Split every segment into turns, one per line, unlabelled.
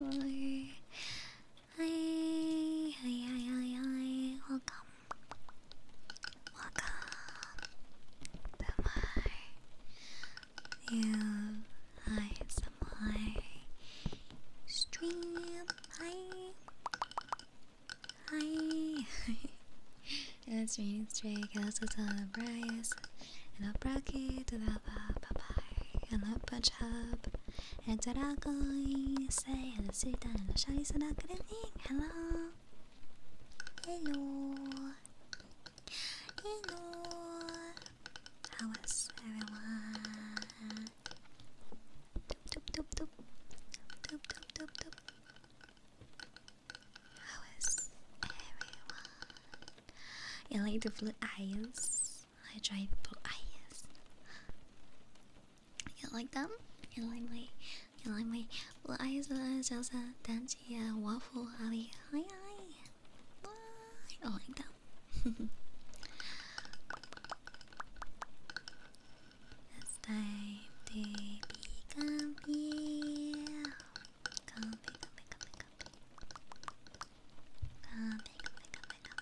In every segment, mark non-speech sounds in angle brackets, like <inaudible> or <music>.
Hi, hi, hi, hi, hi. Welcome, welcome
to my new ASMR stream.
Hi, hi. it's raining straight. Cast a ton of rice and a bracket to the baba papai ana pachab Etaragoi say hello sweet and hello shiny so good evening hello Hello Hello How is everyone? Doop doop doop doop Doop doop doop doop How is everyone? You like the blue eyes? I tried blue eyes. You like them? You like my, you like my blue eyes? Uh, just a dancing uh, waffle alley. Hi hi. Bye. I like them. <laughs> it's time to be comfy. Comfy, comfy, comfy, comfy. Comfy, comfy, comfy, comfy.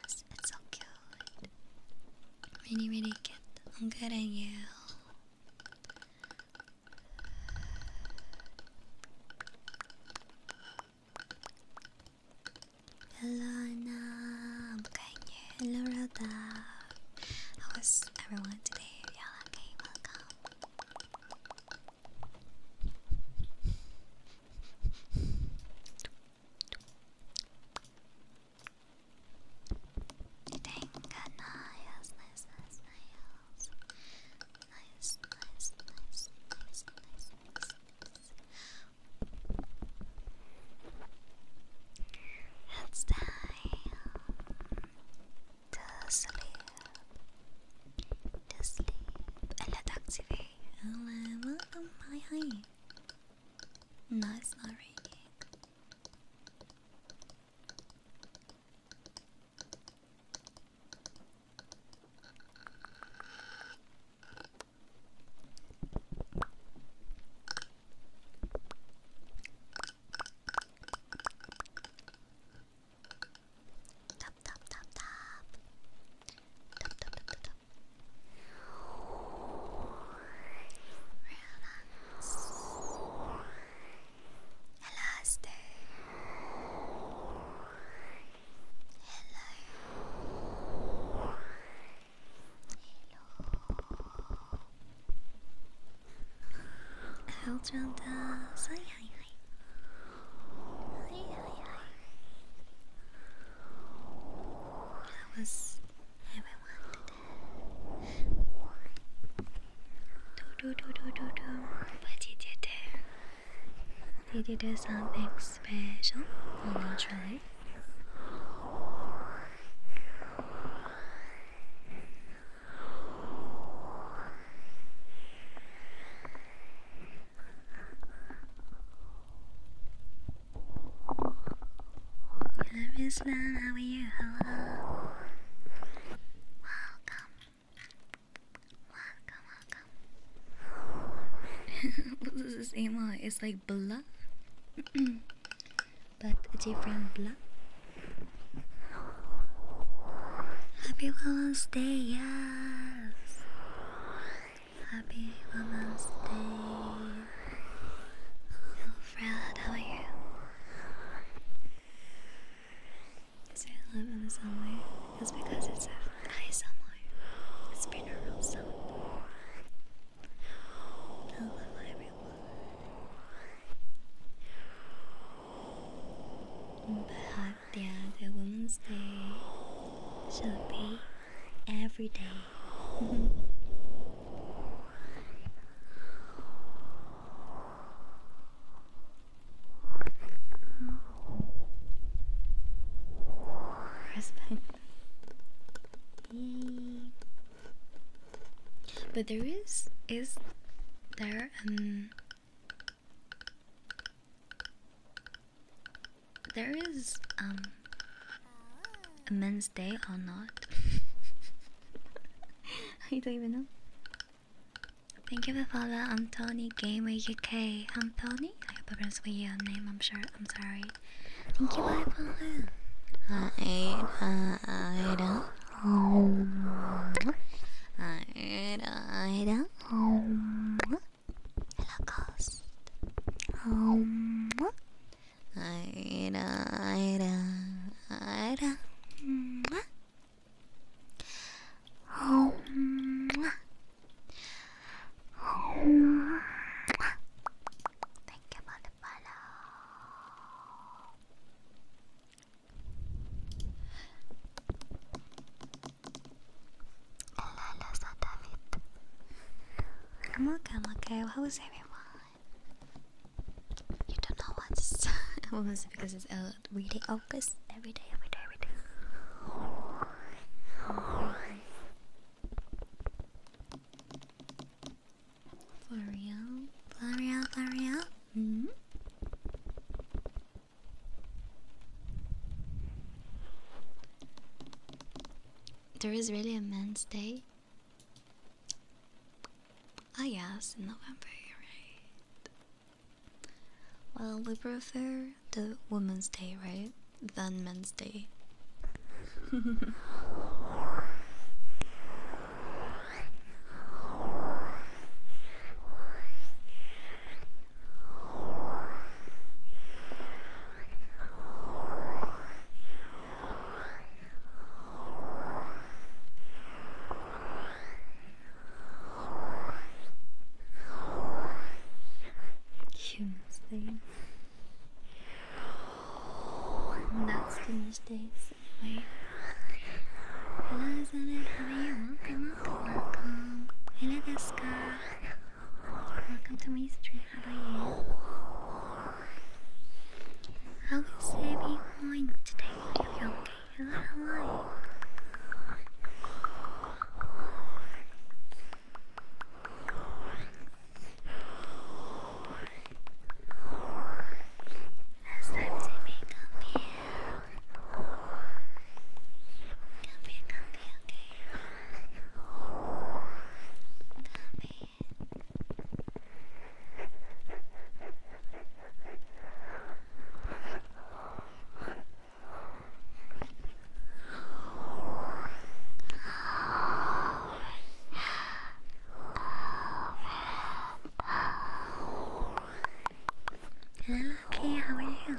Yes, it's so cute. Really, really cute. I'm good at you. Hello, Anna. I'm Hello, Rhoda. How is everyone today? Yeah, okay, welcome.
Thank goodness, nice, nice, nice, nice, nice, nice, nice, nice, nice.
It's time to sleep. To sleep. And let's activate Hello, welcome. Hi, hi. No, it's not raining tap tap tap tap tap
tap tap tap tap Relax Elaste Hello Hello that was everyone today. Do do do do do do. But you did
Did you do something special? Or not try.
Hello, Miss Lan. How
are you? Hello. Welcome. Welcome, welcome. <laughs> what is this AMR? It's like blah, <clears throat> but a different blah. Happy Valentine's Day, yes. Happy Women's Day. Alfred, how are you? Is love in the somewhere? because it's a high somewhere. It's binaural sound. Hello, everyone. But that a woman's day should be every day. <laughs> But there is is there um there is um a men's day or not? I <laughs> don't even know. Thank you for follow. I'm Tony Gamer UK. I'm Tony. I hope I pronounced your name. I'm sure. I'm sorry. Thank you for follow. I uh, I don't. Hello, ghost. Um. Ida, Ida, Ida. Oh.
Thank you for the follow.
I'm okay, I'm okay. everyone? You don't know what's what <laughs> was it because it's every day August, every day, every day, every day. For real, for real, for real. hmm. There is really a men's day. Ah, oh, yes, in November, right? Well, we prefer the women's day, right? Than men's day. <laughs>
Human thing. That's the mistakes you? Welcome, welcome, Hello, Deska. Welcome to my How are you? How is everyone going today? You're okay. Hello, how are you? Last time Jimmy, come here. Come here, come here, okay? i okay, how are you?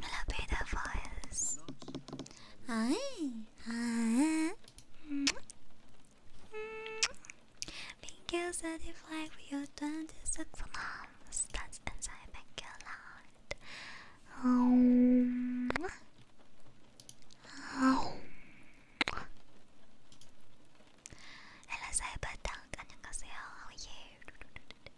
Hello, beta voice.
Hi. Hi. Thank you, Satisfy, for 26 months. That's inside. Thank you a lot.
Um,
um. Hello, Cyber Dunk. How are you?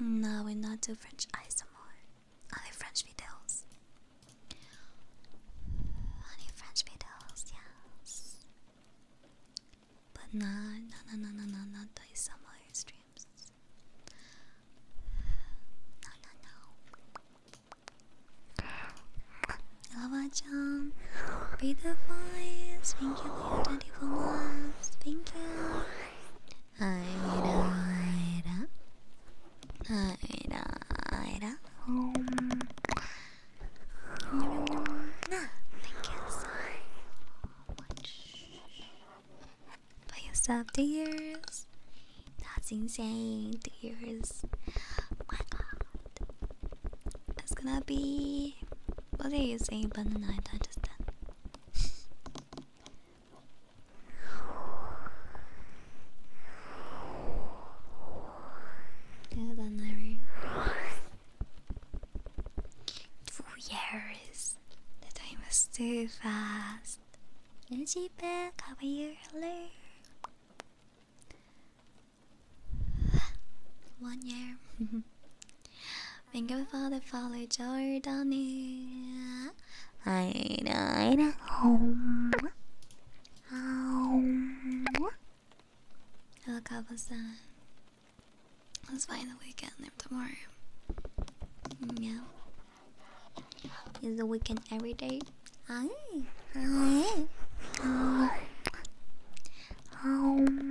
No, we are not doing French ASMR. Only French I Only French videos, yes. But no, no, no, no, no, no, not the ASMR streams. No, no, no. Lava-chan, beautiful eyes. Thank you for your 24 Thank you. Thank you so much for yourself two years. That's insane. Two years. Oh my god. That's gonna be what are you saying banana I don't understand. Good then, Larry. Two years. The time was too fast. Energy back half a year earlier. One year. <laughs> Thank you for the follow, Jordani. I died home. Home. Hello, Kabasa. Let's find the weekend tomorrow. Yeah. Is the weekend every day? Hi. Hi. Home.
Home.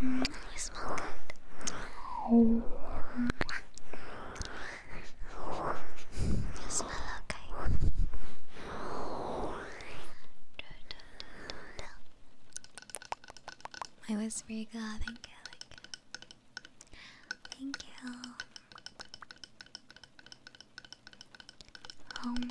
Mm, you smell good. You smell okay.
My was you go. Thank you. Thank you. Um.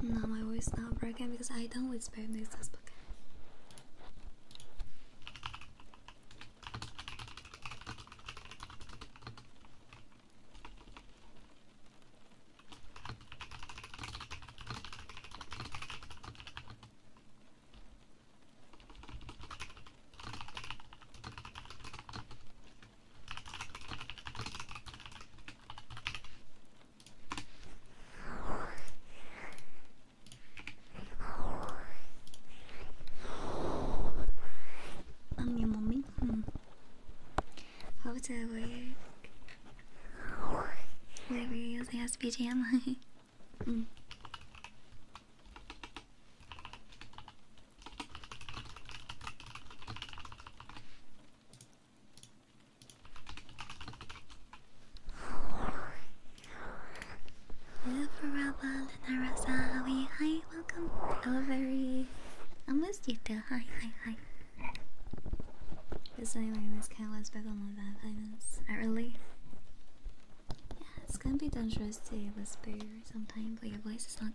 No, my voice not broken because I don't whisper in to book. I'm your mommy. Hmm. How does that work? Whatever you're using as BGM. <laughs> mm. Hi, welcome. Oh, very. I missed you too. Hi, hi, hi. This anyway, Miss Cat was back on the bad items. Early. Yeah, it's gonna be dangerous to whisper sometimes, but your voice is not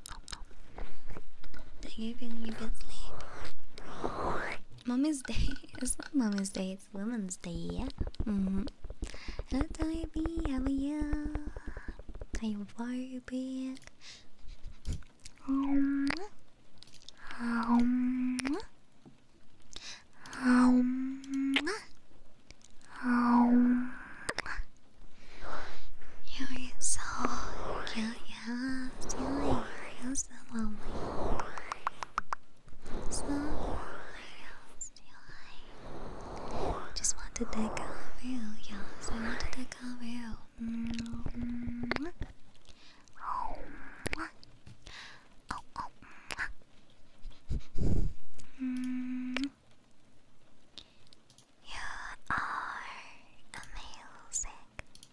They gave you a good sleep. Mommy's Day. <laughs> It's not Mommy's Day, it's Women's Day. Yeah? Mm-hmm. Hello, How are you? Are you Barbie? Um, um,
um,
You're so
cute. Yeah, silly. You're so lonely.
So silly. Just want to take you. Yes, I want to take you. Oh, You are amazing.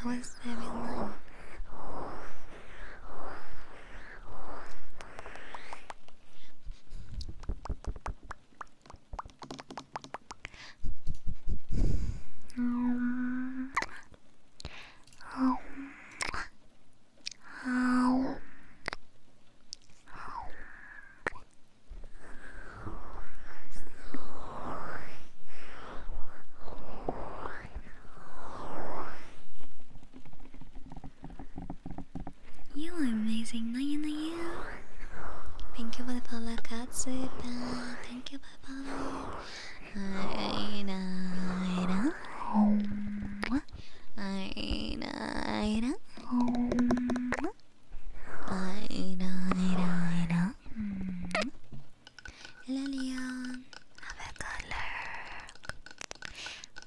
How is everyone? Um, um,
you are amazing, no you Thank you for the Paula Katsuta. Thank you for Paula. Aida, Aida. Aida, Aida. Aida, Aida, Aida. Lillian, have a good look.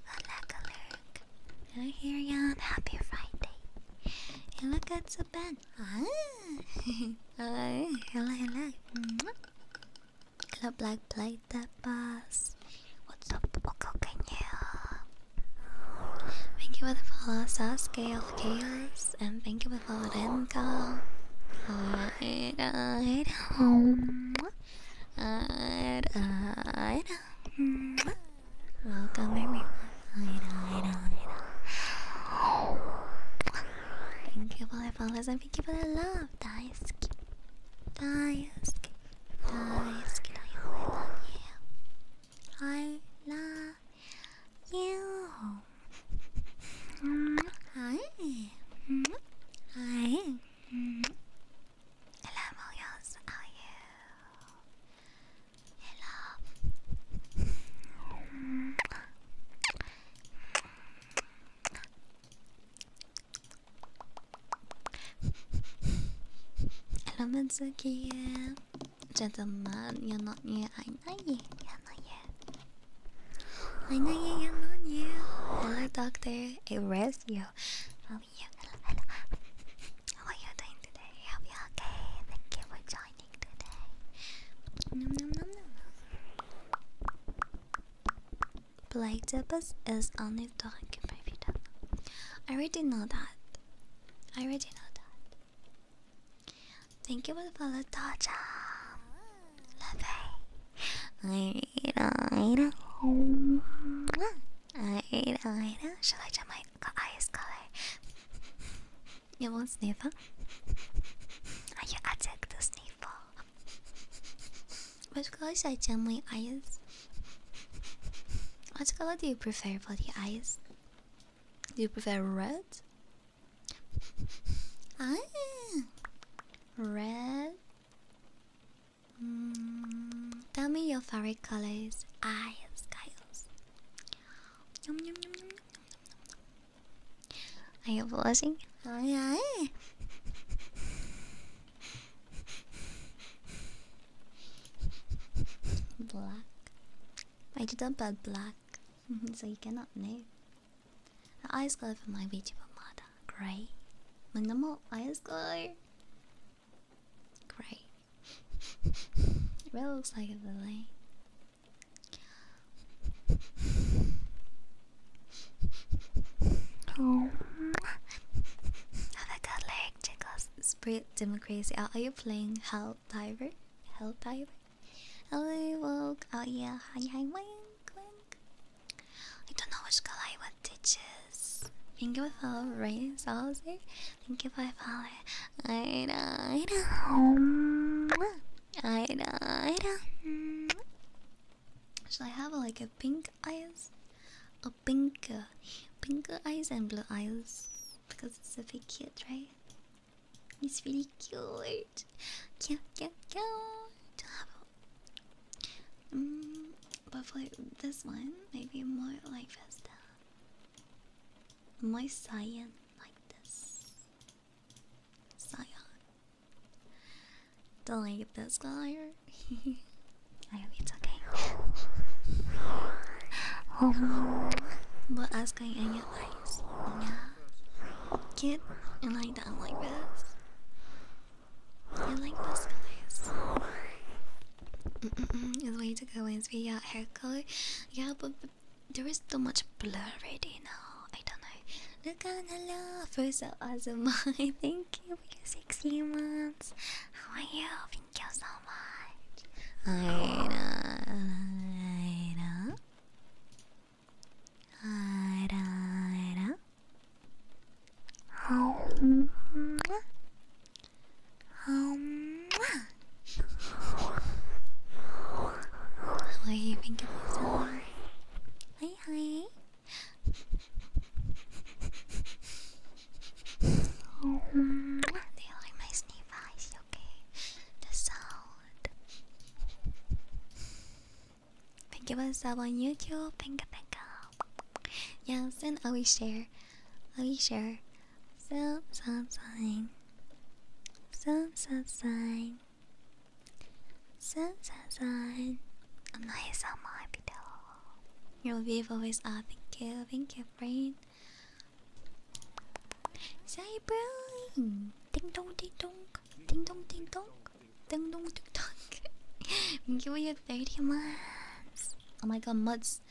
Have a look. Hello here, Jan. Happy Friday. You look at the bed. Ah. <laughs> hello, hello, hello. Mm -hmm. Hello, Black Plate that boss. What's up, Wakokanya? Thank you for the follow, Sasuke of Chaos, and thank you for Florenka. Alright, alright. Alright, alright. Welcome, everyone. Alright, alright, alright. Thank you for the followers and thank you for the love. I love
you. Hi. Hi. Hello, Moyos. How are you? Hello.
Hello, Mitsuki. Gentlemen, you're not new. I know you. Hello, doctor. I rest you. How are you? Hello, hello. How are you doing today? I hope you okay. Thank you for joining today. Nom, nom, nom, nom. Blacktopus is only dog in my I already know that. I already know that. Thank you for the touch. Love it. Alright, alright. Alright, Shall I change my eyes color? you want not sniff, huh? Are you sniffle? Which color should I change my eyes? What color do you prefer for the eyes? Do you prefer red ah, red. Mm, tell me your favorite colors. I have skies.
Yum, yum, yum, yum, yum,
yum. Are you blushing? Oh, yeah. black. I did not put black, <laughs> so you cannot know. The eyes glow from my VTuber mother. Great. My normal eyes glow. Great. <laughs> it really looks like a lily. <laughs> Oh. Have a good leg, Chicos. Spirit democracy. Are you playing Hell Diver? Hell Diver? I woke. Oh yeah, hi hi wink wink. I don't know which color I want to choose. Thank you for follow rain saucy. Thank you for follow. I died. I died. Should I have like a pink eyes? A pink, uh, pink eyes and blue eyes because it's a bit cute, right? It's really cute cute, cute, cute, cute. Mm, but for this one, maybe more like this. More cyan like this. Cyan. Don't like this guy. <laughs> I hope it's okay. um, <laughs> but asking any advice? Get and lie down like this. I like this, guys? Mm -mm It's way to go, Wednesday. Yeah, hair color. Yeah, but, but there is too much blur already now. I don't know. Look at the love. First of awesome. <laughs> Thank you for your sixty months. How are you? Thank you so much. I know. I know. あらあらはんまはんま What do you think of this song? Hi hi They like my sneeze eyes, okay? The sound Thank you for the sub on YouTube. Pinka pinka. Yes, and always share. Always share. Sub sub sign. Sub sub sign. Sub sub sign. I'm not so happy though. Your wave always are. Thank you. Thank you, friend. Say, bro. Ding dong, ding dong. Ding dong, ding dong. Ding dong tick tock. Give you 30 months. Oh my god, muds.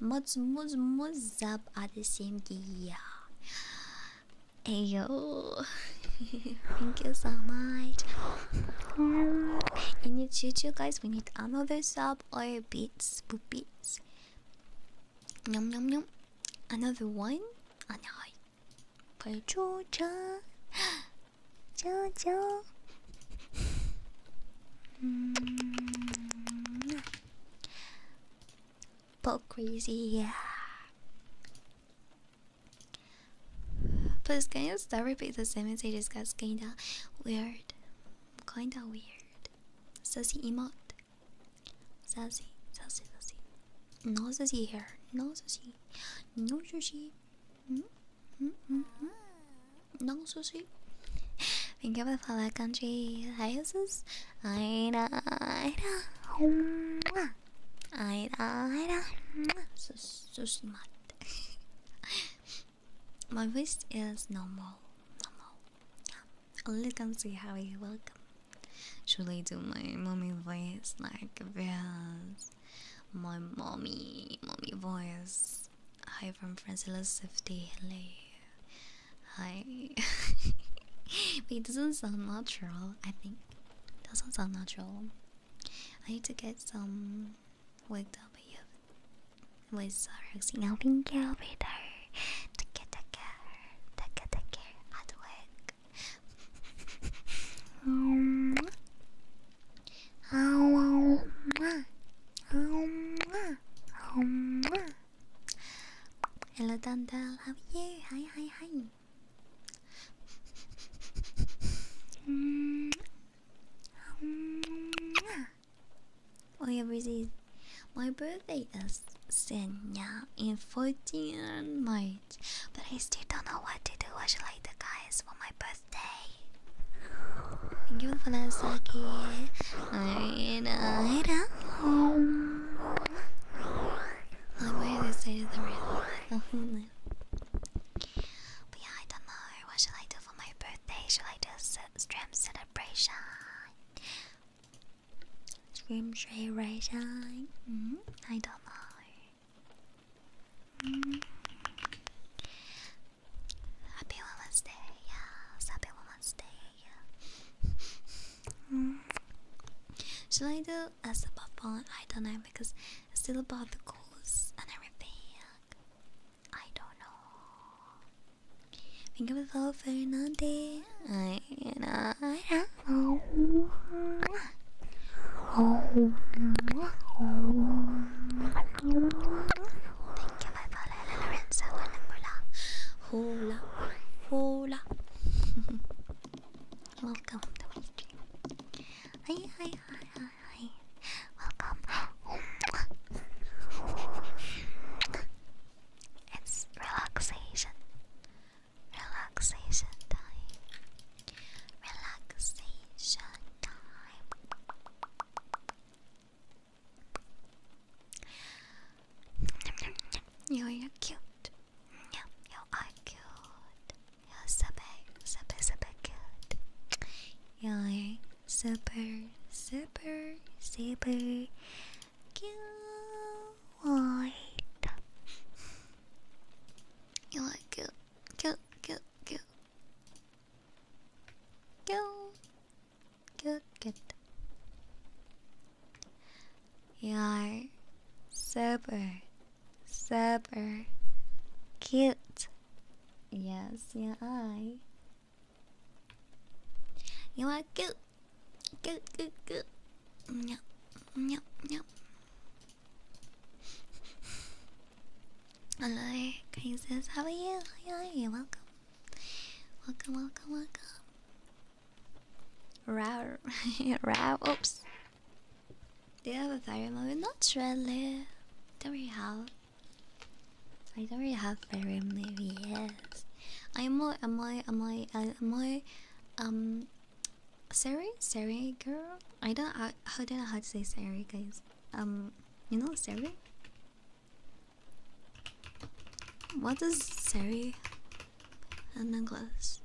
Muds, muds, muds up are the same gear. Ayo. <laughs> Thank you so much. In two future, guys, we need another sub or beats, boopies. Nom nom nom. Another one? Oh no, play Georgia, Georgia. mm -hmm. Poke crazy. But can you start repeat the sentence I just got kinda weird. Kinda weird. Sassy emote. Sassy, sassy, sassy. No sushi here. No sushi. No sushi. Mm -hmm. Mm -hmm. No sushi. Thank you for the follow, country. Hi, sis. Aida, Aida. Aida, Aida. Sushi mat. My voice is normal. Normal. Yeah. Only can see how you welcome. Should I do my mommy voice like this? My mommy, mommy voice. Hi from Francilla Safety. Hello. Hi. <laughs> it doesn't sound natural, I think. Doesn't sound natural. I need to get some worked up here with Sarah's outing elevator. Take care, take care, take care, take care. Hard work, Hello, Dandel. How are you? Hi, hi, hi. Oh My birthday is Senya in 14 May but I still don't know what to do. What should I do, guys, for my birthday? Thank you, Funasaki. Alright, alright. Um. Like, why are they saying the reason? <laughs> But yeah, I don't know. What should I do for my birthday? Shall I do a stream celebration? Scream celebration? Mm-hmm. I don't know. Happy Women's Day, yes, happy Women's Day, yeah. Should I do a sip of pollen? I don't know because it's still about the goals and everything. I don't know. Think about it all for another day. I, know, I oh, oh, Thank you, my brother Lorenzo and Mula. Hula, hula. Welcome to my stream. Hi, hi, hi, hi, hi. Welcome. It's relaxation relaxation time. Relaxation time. You are cute. Yeah, you are cute. You're super, super, super cute. You're super, super, super cute. You are cute. Go, go, go. Go. Good, good. You are super, super cute. Yes, you are. You are cute. Good, good, good. Yep, yep, yep. Hello, Crazes. How are you? How are you? Welcome. Welcome, welcome, welcome. Row, <laughs> row, oops. Do you have a fairy moment? Not really. Don't we have? I don't really have fairy movie, yes. I'm more, I'm more, I'm more, I'm more, um, Sari? Sari girl? I don't I, don't know how to say Sari guys. Um you know What does Sari? And then necklace.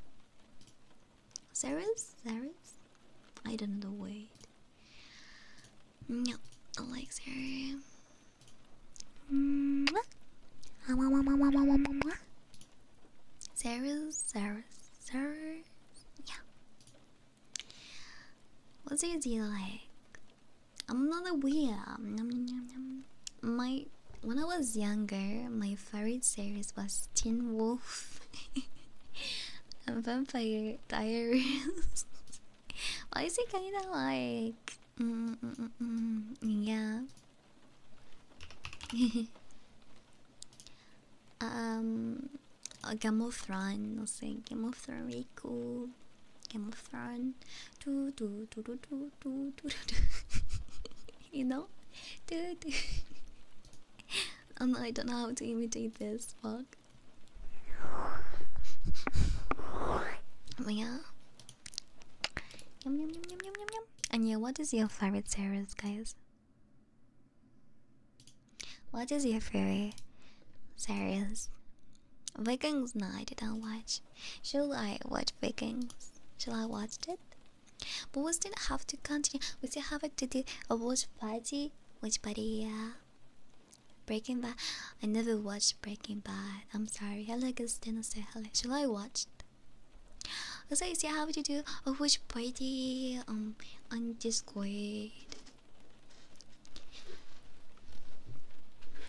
Series? Series? I don't know the way. No, I like Sari. Series, Series, Series. Yeah. What's your deal like? I'm not a weird. Um, my when I was younger, my favorite series was Teen Wolf and Vampire Diaries. Why is it kinda like? Mm -mm, mm, mm, mm Yeah. <laughs> Um, Game of Thrones, i say Game of Thrones, really cool. Game of Thrones, do do do do do do do you know, do do. Um, I don't know how to imitate this. Fuck. But yeah. Yum yum yum yum yum yum yum. And what is your favorite series, guys? What is your favorite series? Vikings? No, I watch. Should I watch Vikings? Shall I watch it? But we still have to continue. We still have to do a watch party. Watch party, yeah. Breaking Bad. I never watched Breaking Bad. I'm sorry. I like it. Still say hello. Shall I watch? So I see how to do a which party um on Discord.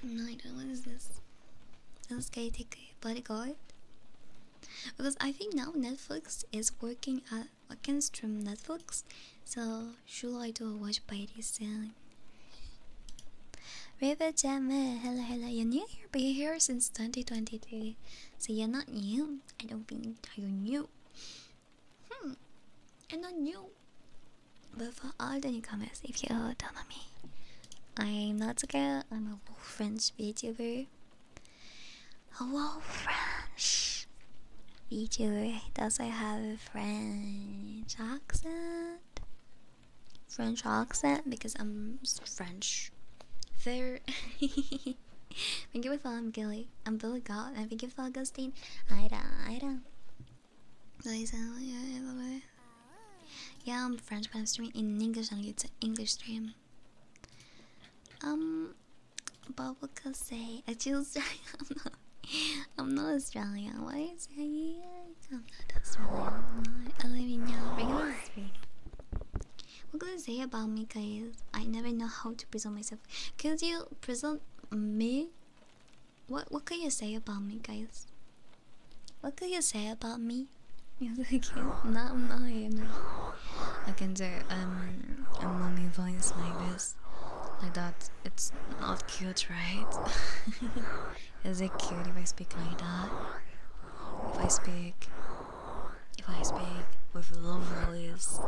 No, I don't. What is this?
This guy take party bodyguard? Because I think now Netflix is working at can stream Netflix, so should I do a watch party soon? River Jammer, eh, hello, hello. You're new here, but you're here since 2023, so you're not new. I don't think you're new. Hmm. And on you. But for all the newcomers, if you don't know me, I'm not a girl, I'm a French VTuber. Hello, French VTuber. Does I have a French accent? French accent because I'm French. Fair. <laughs> <laughs> thank you for following Gilly. I'm Billy God. And thank you for Augustine. Ida, Ida. Yeah, I'm French, but I'm streaming in English and it's an English stream. Um, but what could I say? I choose. <laughs> I'm not. I'm not Australian. Why is it? I'm not Australian. I live in Yellow Regular Street. What can you say about me, guys? I never know how to present myself. Can you present me? What What can you say about me, guys? What can you say about me? <laughs> no, I'm not here I can do um a mommy voice like this, like that. It's not cute, right? <laughs> Is it cute if I speak like that? If I speak if I speak with low voice,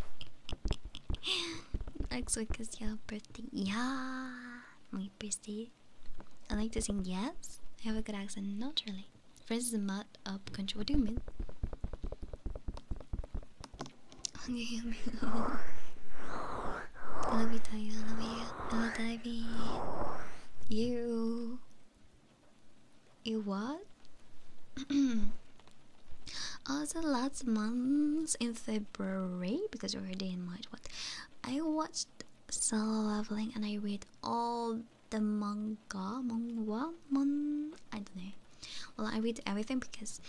<laughs> next week is your birthday. Yeah, my birthday. I like to sing yes. I have a good accent naturally. First is a mud up country. What do you mean? I love you, Tayo. I love you. I love you. You. You what? also, <clears throat> oh, last month in February, because we're already in March, what? I watched Solo Leveling and I read all the manga, manga, mon. I don't know. Well, I read everything because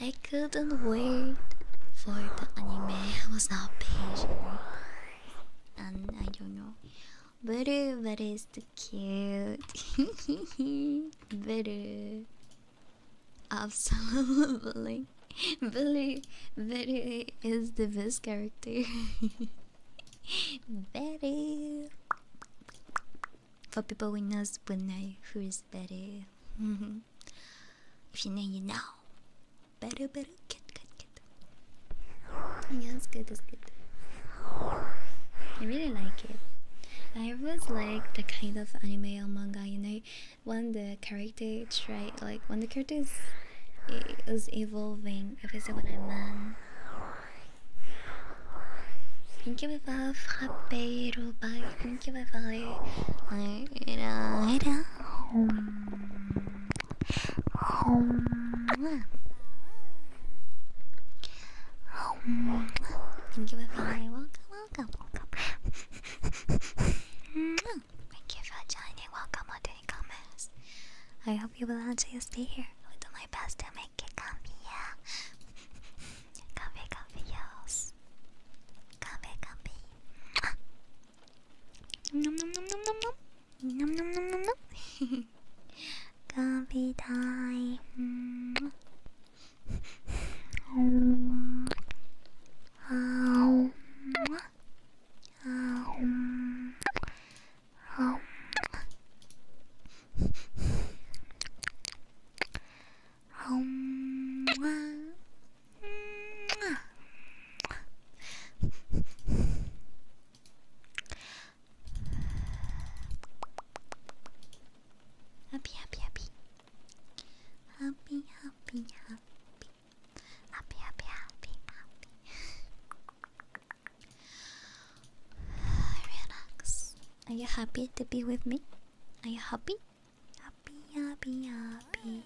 I couldn't wait for the anime. I was not patient, and I don't know. But Very, the? cute. <laughs> Better. Absolutely. <laughs> Billy, Billy is the best character. <laughs> Betty. For people who knows will know who is Betty. if you know, you know. Better, better, kid, kid, kid. Yeah, it's good, it's good. I really like it. I always like the kind of anime or manga, you know, when the character try like when the character is, is evolving. If I say what I mean. Thank you for frappe, thank you for being welcome, welcome, welcome. thank you for joining. Welcome to the comments. I hope you will enjoy stay here. I will do my best to make it comfy, yeah. comfy, comfy, yes.
Comfy, comfy. Nom nom nom nom nom nom. Nom nom nom nom nom. <laughs> Coffee time. Mm.
um. Um. Um. Um. Um.
Happy, happy, happy. Happy, happy, happy. Happy, happy, happy, happy.
Relax. Are you happy to be with me? Are you happy? Happy, happy, happy.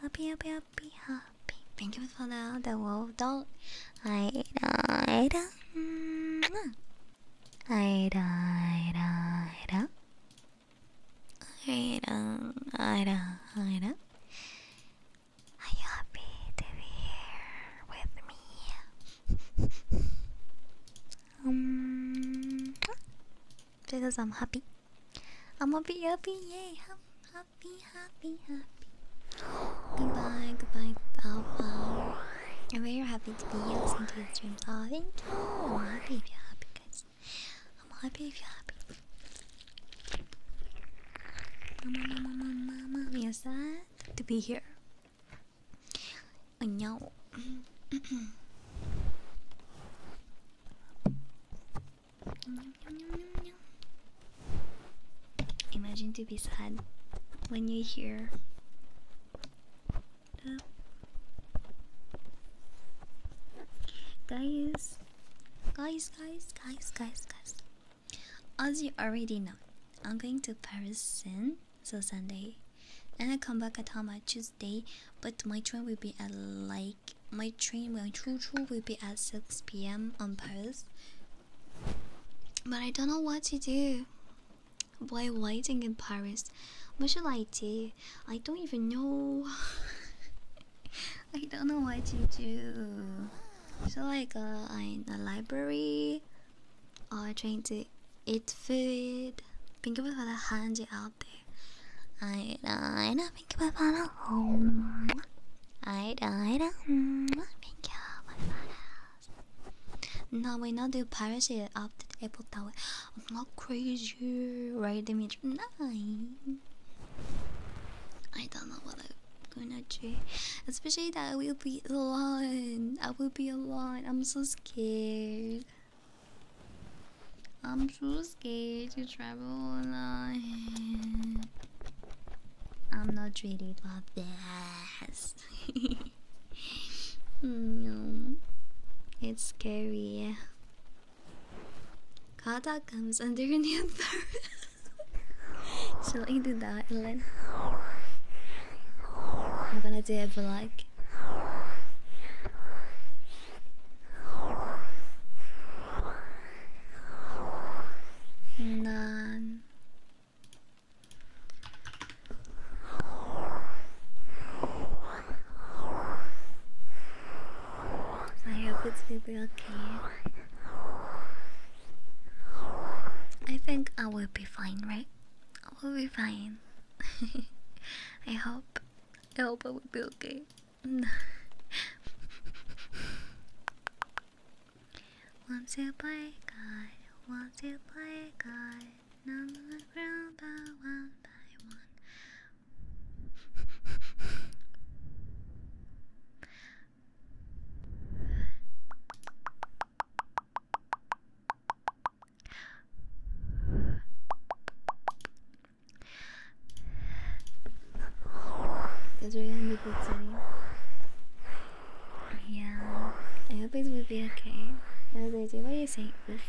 Happy, happy, happy, happy. Thank you for the the wolf dog. I died. Are you happy to be here with me? um, because I'm happy. I'm happy, happy, yay! I'm happy, happy, happy. Goodbye, goodbye, Bow Bow. I'm very happy to be here listening to your streams. Oh, thank you. I'm happy if you're happy, guys. I'm happy if you're happy. Mama, mama, mama, mama, we are sad to be here. I know. <clears throat> Imagine to be sad when you hear guys, guys, guys, guys, guys, guys. As you already know, I'm going to Paris soon, so Sunday, and I come back at home on Tuesday. But my train will be at like my train, my true true will be at six p.m. on Paris. But I don't know what to do. Why waiting in Paris? What should I do? I don't even know. <laughs> I don't know what to do. So like in a library or trying to eat food. Think about the handy out there. I don't think about the home. I don't think about the home. No, we not do piracy up the Apple Tower. I'm not crazy, right, Dimitri? No, I don't know what I'm gonna do. Especially that I will be alone. I will be alone. I'm so scared. I'm so scared to travel alone. I'm not ready for this no. It's scary. Kata comes under your new Shall I do that and then I'm gonna do it for like
None.
I hope it's super okay. I think I will be fine, right? I will be fine. <laughs> I hope. I hope I will be okay. <laughs> Want to play guy? want to play God, none one by one. Because we're going yeah, I hope it will be okay. What do you say? Oof.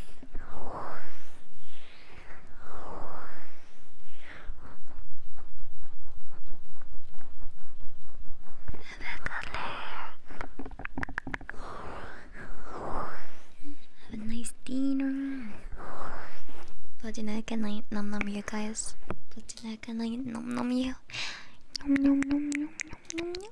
Have a nice dinner. Platinaka night, nom nom you guys. Platinaka night, nom nom you. Nom nom nom nom nom nom.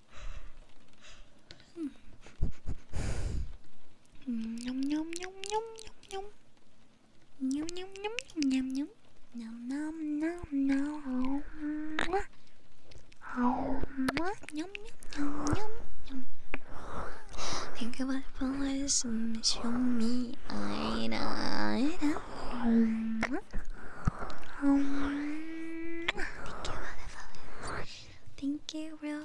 Nom nom nom nom
show me I know. thank you about the Thank you, real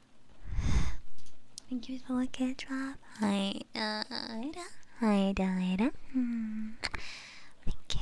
Thank you for the good drop. Hi, uh, Ida. Hi, Ida, Ida. Hmm. Thank you.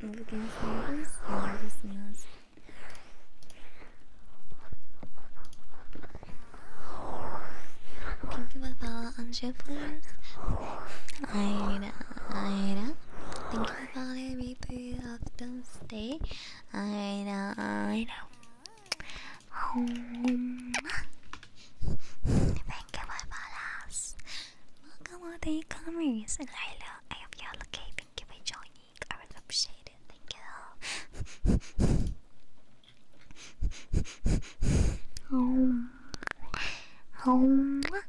You can hear this, Thank you for follow on Shippers. Aida, Aida. Thank you for following me through of Thursday. Aida, Aida. Thank you, Barbaras. Welcome all e-commerce. Lila, I appreciate it. Thank you. <laughs>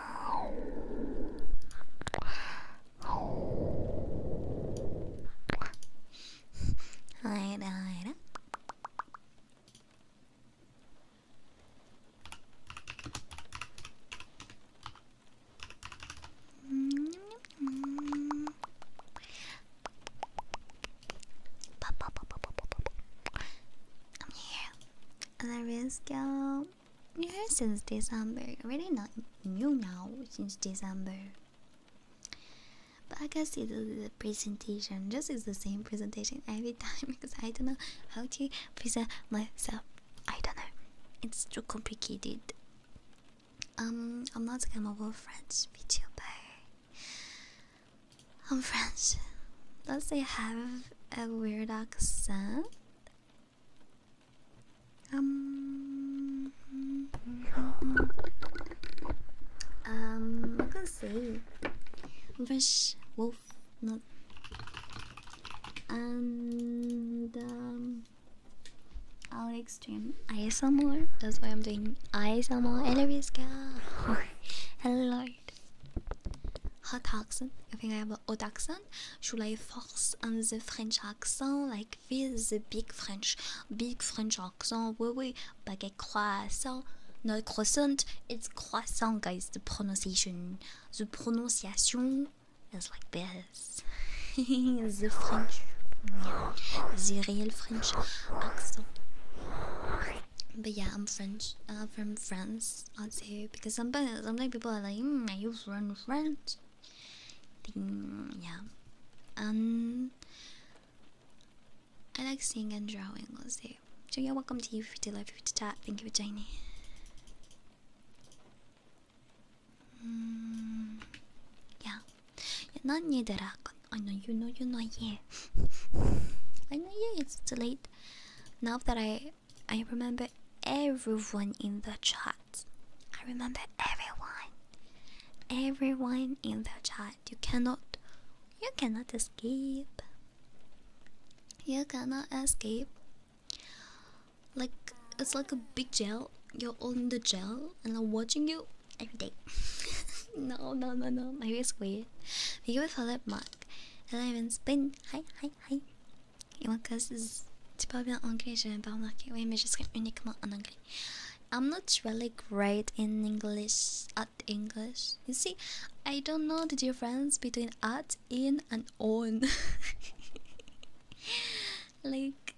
Alright, alright.
I'm here. There is go here since December. Really not new now since December. But I guess it is the presentation. Just is the same presentation every <laughs> time because I don't know how to present myself. I don't know. It's too complicated. Um, I'm not a capable French VTuber. I'm French. Does they have a weird accent? Um, um, I can say fresh wolf, not and um, I'll extreme ASMR. That's why I'm doing ASMR. <laughs> Hello, hello, Lord. Hot toxin. I think I have an otaxa one should I focus on the French accent like with the big French big French accent oui oui baguette croissant not croissant it's croissant guys the pronunciation the pronunciation is like this <laughs> the French the real French accent but yeah, I'm French. I'm from France, Also, because sometimes, sometimes people are like, mm, "Are run." Friends, yeah, and um, I like seeing and drawing also. So yeah, welcome to you for to life to chat. Thank you for joining. Mm, yeah, not near I know you know you know not <laughs> I know yeah, it's too late. Now that I I remember everyone in the chat. I remember everyone. Everyone in the chat. You cannot you cannot escape. You cannot escape. Like it's like a big jail. You're in the jail and I'm watching you every day. <laughs> no, no, no, no. My face weird. Thank you for that mark. And I've spin. Hi, hi, hi. Et moi, tu parles bien anglais, je parle anglais. Oui, mais je serai uniquement en anglais. I'm not really great in English, at English. You see, I don't know the difference between at, in, and on. <laughs> like,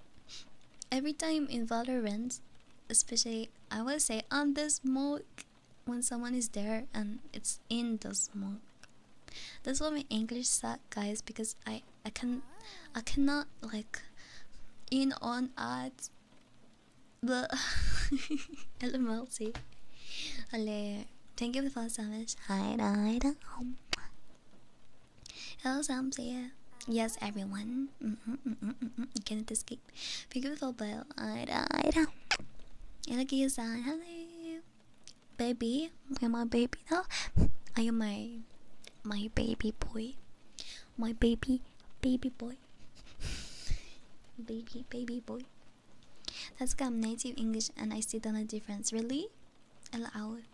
every time in Valorant, especially, I will say on the smoke when someone is there and it's in the smoke. That's why my English suck, guys, because I I can I cannot like in on at the LMLC. Hello, thank you for the first damage. Hi, hi, Hello, Sam. See Yes, everyone. Mm -hmm, mm -hmm, mm -hmm. You cannot escape. Thank you for the bell. Hi, hi, Hello, Hello baby. You're my baby now. I am my my baby boy? My baby baby boy. <laughs> baby baby boy. That's because I'm native English and I see the difference. Really? Allowed.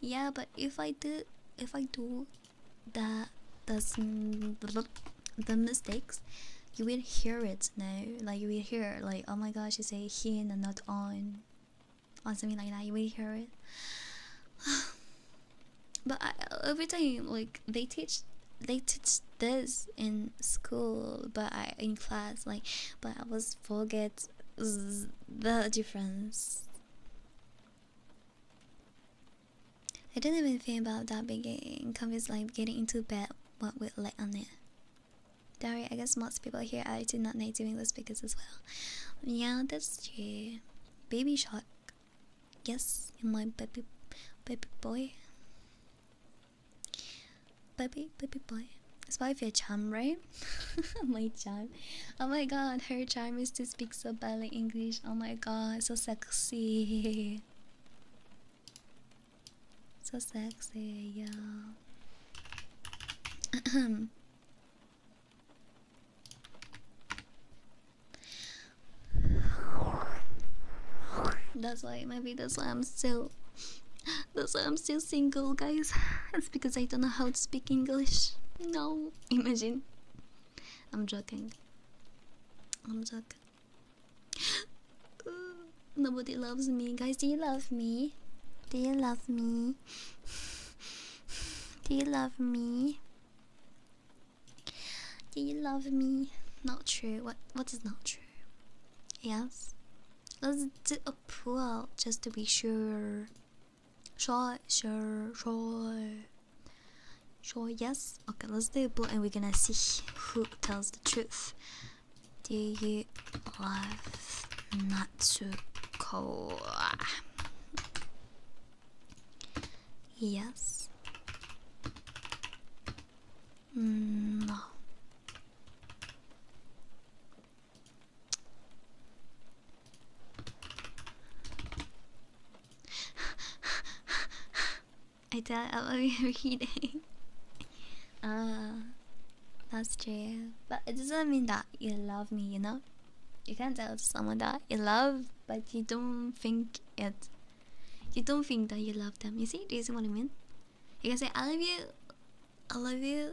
Yeah, but if I do, if I do, the the the mistakes, you will hear it now. Like you will hear like, oh my gosh, you say he and not on or something like that. You would hear it. <sighs> but every time, like they teach, they teach this in school, but I in class, like, but I was forget the difference. I didn't even think about that beginning, cause it's like getting into bed what with light on it. Dari, I guess most people here are do not like doing this because as well. Yeah, that's true. Baby shark. Yes, my baby baby boy. Baby baby boy. It's my favorite charm, right? <laughs> my charm. Oh my god, her charm is to speak so badly English. Oh my god, so sexy. So sexy, yeah. <clears throat> Um, that's why maybe that's why I'm still that's why I'm still single guys. It's because I don't know how to speak English. No, imagine. I'm joking. I'm joking. <gasps> Nobody loves me. Guys, do you love me? Do you love me? Do you love me? Do you love me? Not true. What what is not true? Yes. Let's do a poll just to be sure. Sure, sure, sure. Sure, yes. Okay, let's do a poll, and we're gonna see who tells the truth. Do you love not too cold? Yes. Mm, no. I tell <laughs> I love you every day. <laughs> Uh, that's true. But it doesn't mean that you love me, you know? You can't tell someone that you love, but you don't think it. You don't think that you love them. You see? Do you see what I mean? You can say, I love you, I love you,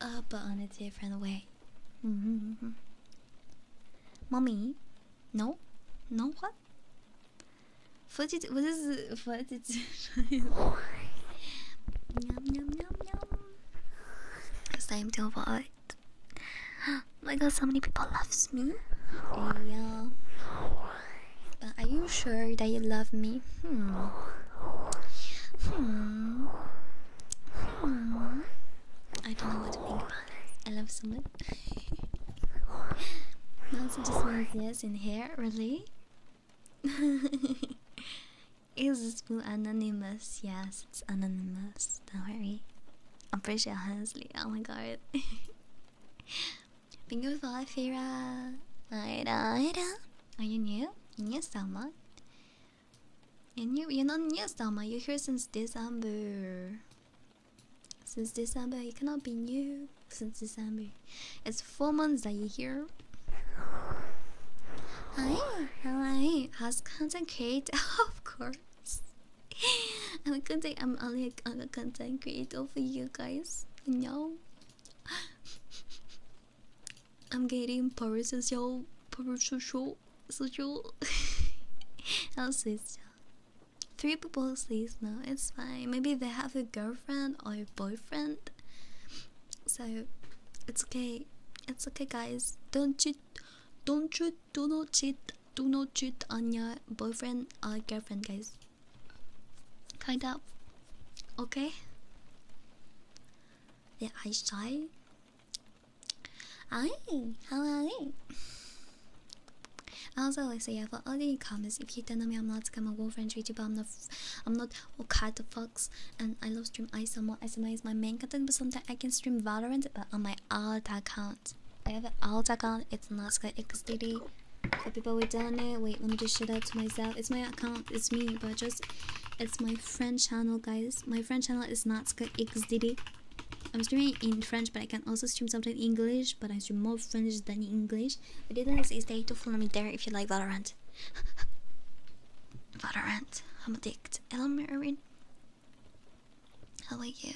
uh, but on a different way. Mm -hmm, -hmm. Mommy? No? No, what? 40, what is 40 it's yum yum yum Same deal for it. Oh my god, so many people love me. Yeah. But are you sure that you love me? Hmm. Hmm. Hmm. I don't know what to think about it. I love someone. Now just one yes in here, really? <laughs> It's this anonymous? Yes, it's anonymous. Don't worry. I appreciate it, honestly. Oh my god. Thank <laughs> you for Fira. Are you new? New summer? You're new. You're not new summer. You're here since December. Since December, you cannot be new. Since December, it's Four is full Monzai here. I, how I you? How's content creator? <laughs> of course. I'm a content. I'm only a, a content creator for you guys. No. <laughs> I'm getting parasocial, parasocial, social. I'll say so. Three people sleep now. It's fine. Maybe they have a girlfriend or a boyfriend. So it's okay. It's okay guys. Don't cheat don't cheat. do not cheat do not cheat on your boyfriend or girlfriend guys. Kind of okay? Yeah, I shy. Hi, how are you? Also, I so yeah, for all the comments, if you don't know me, I'm not gonna go French YouTube, I'm not, I'm not, okay to god, and I love stream ISMR. ISMR is my main content, but sometimes I can stream Valorant but on my alt account. I have an alt account, it's not SkyXDD. For people who don't wait, let me just shout out to myself. It's my account, it's me, but just it's my French channel, guys. My French channel is not SkyXDD. I'm streaming in French, but I can also stream something in English, but I stream more French than English. The details is stay to follow me there if you like Valorant. Father Valorant, <laughs> I'm addicted. I Hello, Marvin. How are you?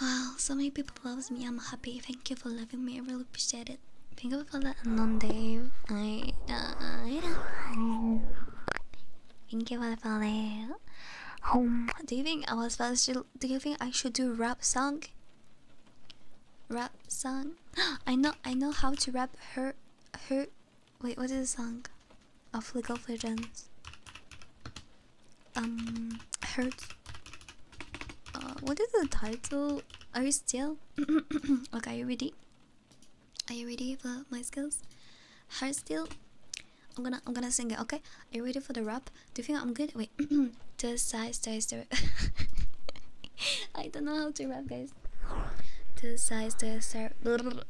Oh, so many people loves me. I'm happy. Thank you for loving me. I really appreciate it. Thank you for that unknown Dave. I do died. Thank you for the follow. Do you think I was supposed to? Do you think I should do rap song? Rap song. <gasps> I know. I know how to rap. Her. Her. Wait. What is the song? Of League of Legends. Um. Hurt. Uh, what is the title? Are you still? <coughs> okay. Are you ready? Are you ready for my skills? Heart still. I'm gonna. I'm gonna sing it. Okay. Are you ready for the rap? Do you think I'm good? Wait, <clears throat> just size, size, size. <laughs> I don't know how to rap, guys. To size, to serve. <laughs>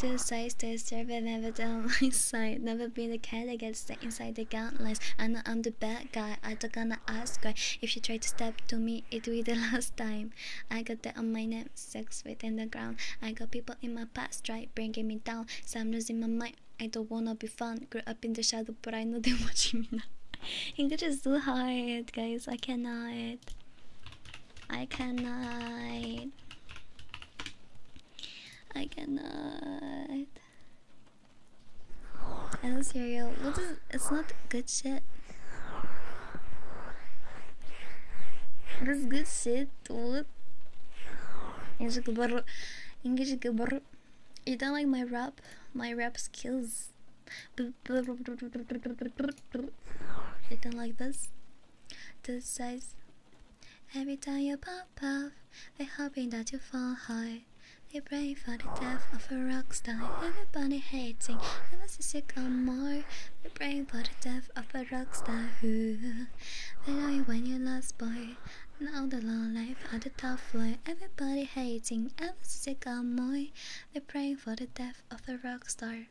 To size, to serve. I've never done <laughs> my side. Never been the cat that gets inside the guidelines. I know I'm the bad guy. I don't gonna ask why. If you try to step to me, it will be the last time. I got that on my neck. six feet in the ground. I got people in my past, right, bringing me down. So I'm losing my mind. I don't wanna be fun, grew up in the shadow, but I know they're <laughs> watching me now. English just do hard, guys. I cannot. I cannot. I cannot. I do Hello, cereal. What is? It's not good shit. This good shit dude. English You don't like my rap? My rap skills. You don't like this? This size. Every time you pop off, they're hoping that you fall high. They praying for the death of a rock star. Everybody hating, unless you come more. They praying for the death of a rock star. They know you when you last boy. Now the long life on the top floor. Everybody hating, ever sick on boy. They praying for the death of a rock star.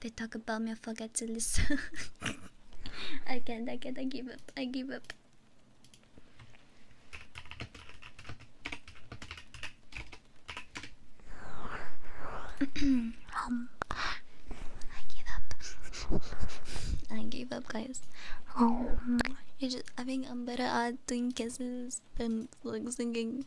They talk about me, I forget to listen. <laughs> I can't, I can't, I give up, I give up. <clears throat> Um, I give up. <laughs> I give up guys. Um, oh, I just I think I'm better at doing kisses than like singing.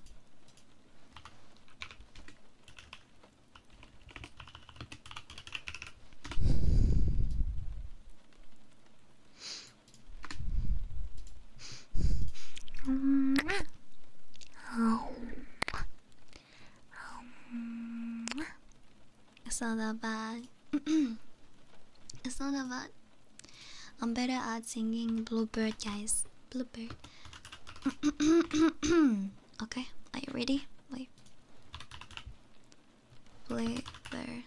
<laughs> Um, um, it's not that bad. <clears throat> it's not that bad. I'm better at singing Bluebird, guys. Bluebird. <clears throat> okay, are you ready? Wait. Bluebird.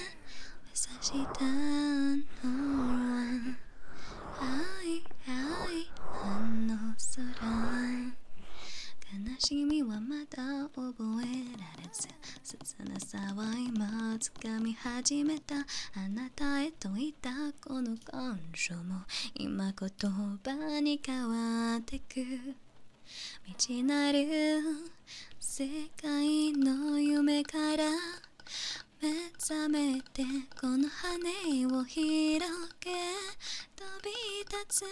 <clears throat> 優しいだのはいはいあの空悲しみはまだ覚えられず切なさは今掴み始めたあなたへといたこの感情も今言葉に変わってく道なる世界の夢から目覚めてこの羽を広げ飛び立つ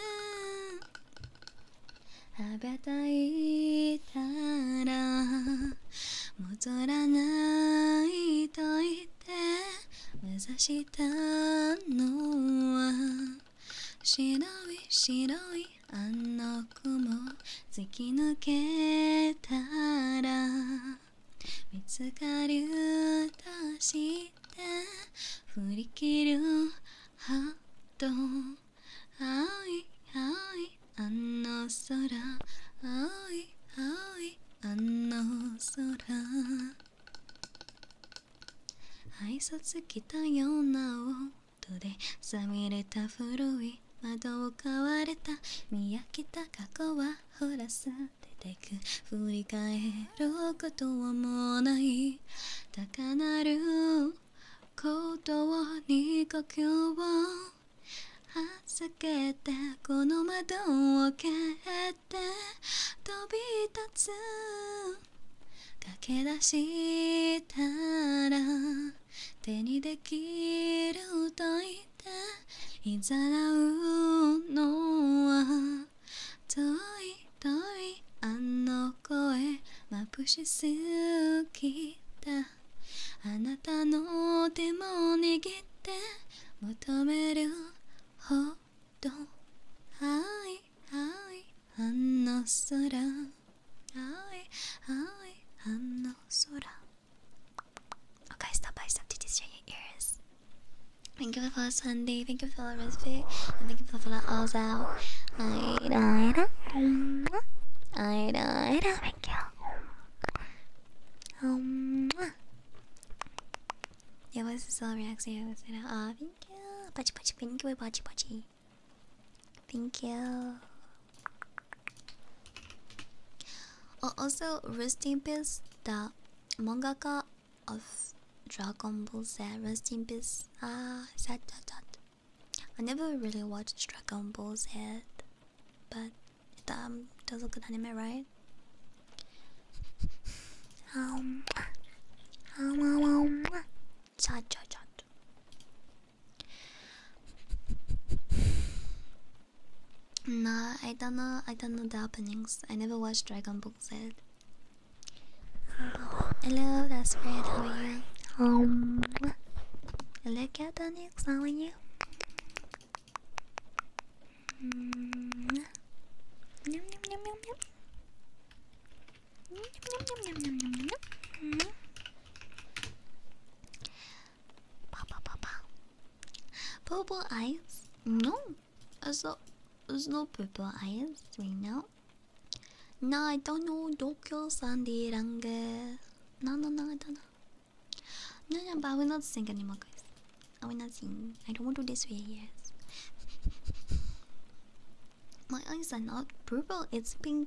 食べたいたら戻らないといって目指したのは白い白いあの雲突き抜けたら見つかるとして振り切るハートあおいあおいあの空あおいあおいあの空挨拶来たよなをでさみれた古い窓を買われた見飽きた過去はほらさ出てく振り返ることはもない高鳴ることに呼吸を預けてこの窓を蹴って飛び立つ駆け出したら手にできる歌いていざらうのは遠い遠いあの声まくしすぎたあなたの手も握って求めるほどはいはいあの空 Hi, hi, Hanno Sora. Okay, stop by, stop to destroy your ears. Thank you for the follow, Sunday. Thank you for the respite. And thank you for the follow, Ozao. I died. I died. Thank you. Um. Yeah, what's the celebrity accent? Yeah, what's it? Ah, thank you. Pachi, pachi, thank you, pachi, pachi. Thank you. Oh, also, rest in the manga of Dragon Ball Z. Rest in Ah, sad, sad, I never really watched Dragon Ball Z, but um, it does look good anime, right? um, <laughs> um, um Cha cha cha. Nah, I don't know. I don't know the openings. I never watched Dragon Ball Z. Hello, that's great. How are you? Um, hello, Catanix. How are you? Mm. Yum,
yum, yum, yum, yum. Yum, mm, yum, yum, yum, yum, yum, yum. Mm.
パパパパ Purple eyes? No, it's not, it's not purple eyes right now. No, I don't know Dokyo Sandy Range. No, no, no, I don't know. No, no, but I will not sing anymore, guys. I will not sing. I don't want to do this way, yes. My eyes are not purple, it's pink.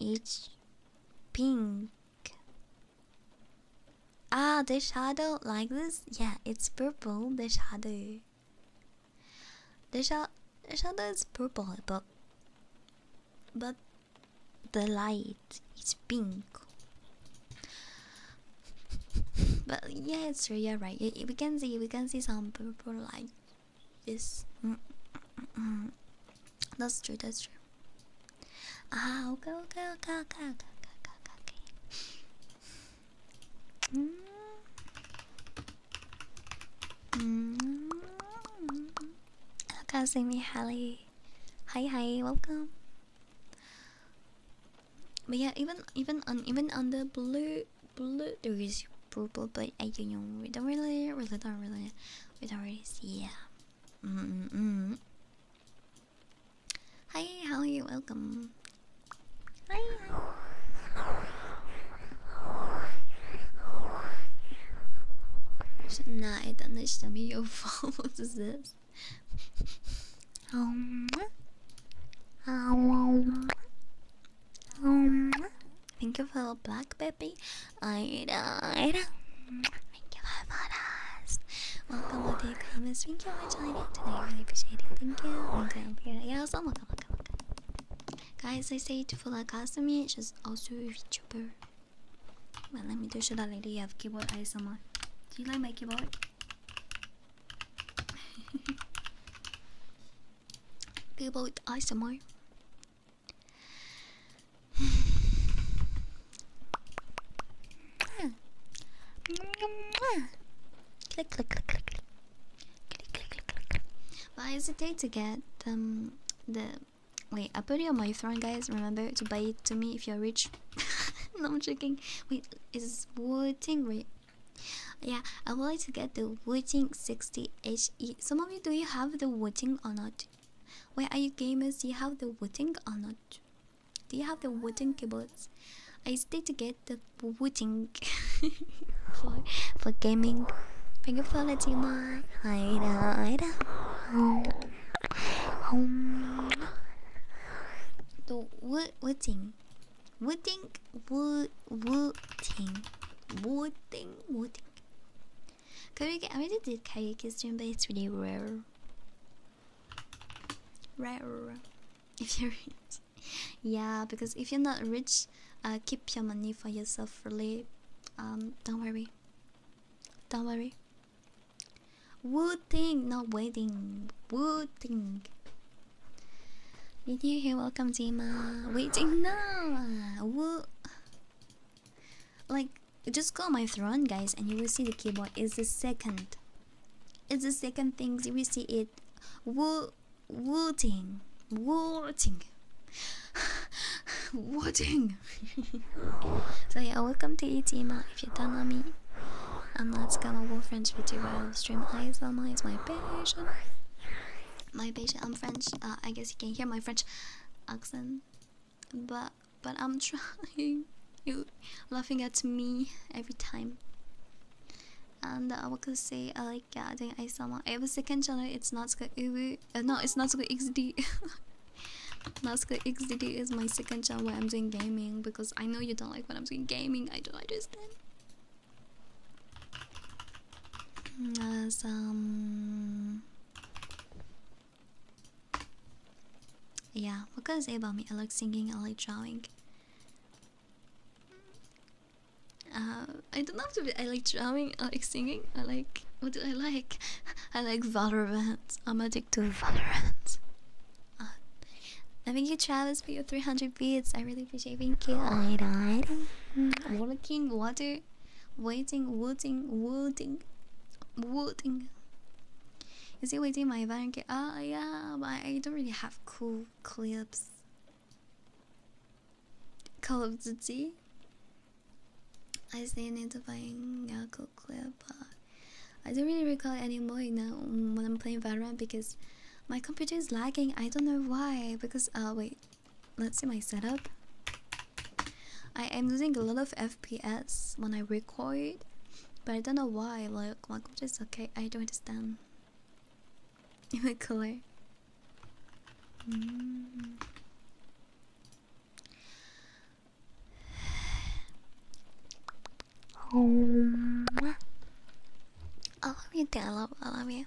It's pink. Ah, the shadow like this? Yeah, it's purple. The shadow. The, sha the shadow is purple, but but the light is pink. <laughs> but yeah, it's true. you right. We can see we can see some purple light is. Mm mm, mm -mm. That's true. That's true. Ah, okay, okay, okay, okay, okay, okay, okay. okay. Mm -hmm. Hello, Kazumi Hallie. Hi, hi, welcome. But yeah, even even on even on the blue blue. There is purple, but I don't really, really don't really, we don't really see. Yeah. Mm hmm. Hi, how are you? Welcome. Hi. Nah, I don't understand your <laughs> phone. What is this? Um. um um, thank you for the black baby. I died. Thank you for the rest. Welcome to the comments. Thank you for joining today. Really appreciate it. Thank you. Okay, I'm here. Guys, I say to full academy, Just also a YouTuber. Well, let me do show that lady you have keyboard ASMR. Do you like my keyboard? <laughs> keyboard ASMR. Why is it click, to get um the wait. I put it on my throne, guys. Remember to buy it to me if you're rich. <laughs> no, i joking. Wait, is waiting. Wait, Yeah, I would to get the waiting 60 HE you, some of you, do you have the voting or not? Where are you gamers? Do you have the voting or not? Do you have the voting keyboards? I still to get the voting <laughs> for, for gaming. Thank you for letting me. Hi, Home. The voting. Voting. Voting. Voting. Voting. Voting. Karyuki, I already did Karyuki's stream, but it's really rare. Rare. <laughs> If you're yeah, because if you're not rich, uh, keep your money for yourself, really. Um, don't worry. Don't worry. Woo thing, not waiting. Woo thing. Did you hear welcome, Jima? Waiting now. Woo like just go on my throne guys and you will see the keyboard is the second it's the second thing you will see it woo wooting wooting <laughs> wooting
<laughs>
so yeah welcome to etima if you don't know me i'm not scalable french vtuber stream eyes on my is my passion my patient. I'm um, French. Uh, I guess you can hear my French accent, but but I'm <laughs> trying. You laughing at me every time. And I what could I say? I uh, like yeah, doing I have a second channel. It's not good. Uh, no, it's not good. XD. Nasca XDD is my second channel where I'm doing gaming because I know you don't like when I'm doing gaming. I don't understand as um yeah what can i say about me i like singing i like drawing uh i don't have to be i like drawing i like singing i like what do i like <laughs> i like valorant i'm addicted to valorant uh, thank you travis for your 300 beats i really appreciate it. thank you oh. All right, all right. Mm -hmm. walking water waiting, waiting, waiting, waiting, Is it waiting my van? Ah, yeah, but I don't really have cool clips. Call of Duty. I still need to find a cool clip, but I don't really recall anymore now when I'm playing Valorant because my computer is lagging. I don't know why. Because uh, wait, let's see my setup. I am losing a lot of FPS when I record, but I don't know why. Like, my computer's okay. I don't understand. <laughs> Even color. Oh. I love you, dear. I love you.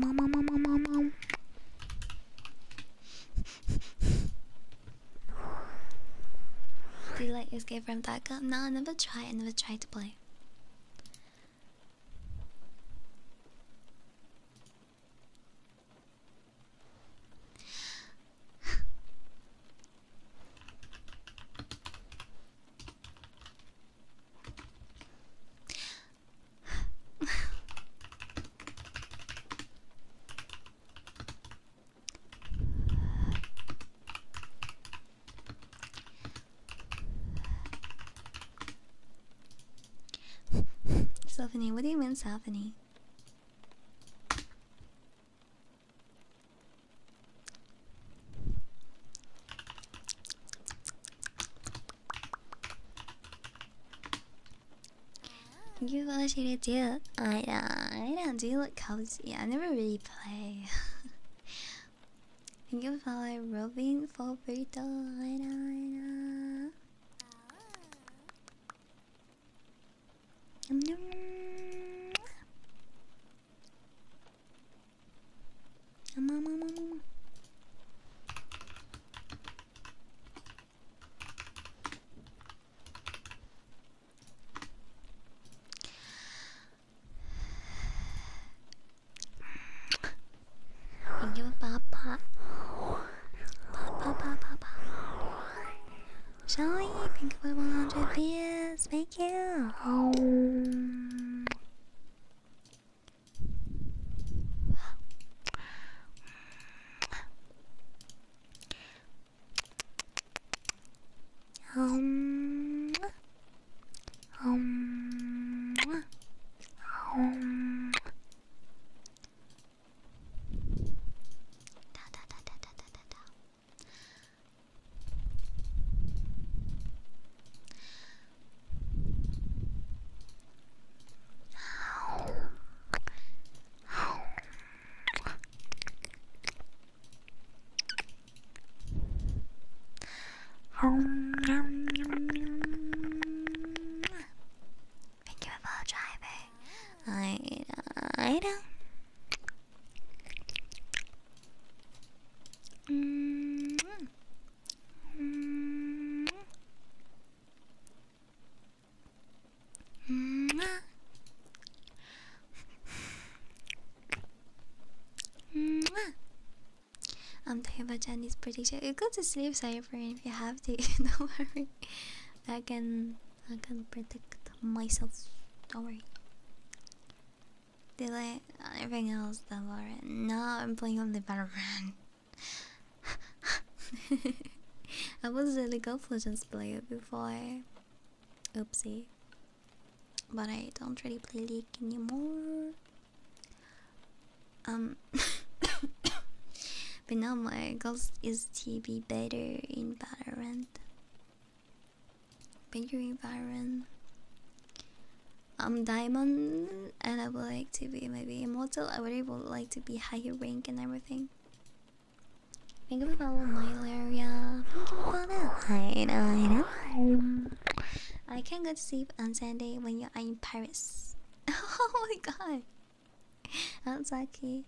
Ba, ba, ba, ba. Um, um, um, um, Do you like Escape from Taka? No, I never try. I never try to play. Stephanie, what do you mean, Stephanie? You watch it too. I know, I know. Do you look I never really play. <laughs> Thank you for rubbing for burrito. I
um, um, um, um, um.
Thank you, Papa. Papa, Papa, Papa. Shall we think about 100 beers? Yeah. you. Um,
um, um, um. Da da da da da da da.
Thank you for driving. I know.
-hmm. -hmm. -hmm.
-hmm. I'm talking about Chinese prediction. You go to sleep, sorry, Cypher, if you have to. Don't <laughs> worry. <laughs> I can, I can predict myself. Don't worry. They like everything else that Valorant. Now I'm playing on the Valorant. I was a League of Legends player before. Oopsie. But I don't really play League anymore. Um. <coughs> but now my goals is to be better in Valorant. Benjamin Byron. I'm um, diamond and I would like to be maybe immortal. I would really like to be higher rank and everything. Thank you for following Malaria. Thank you for I know, I know. I can't go to sleep on Sunday when you are in Paris. <laughs> oh my god. That's lucky.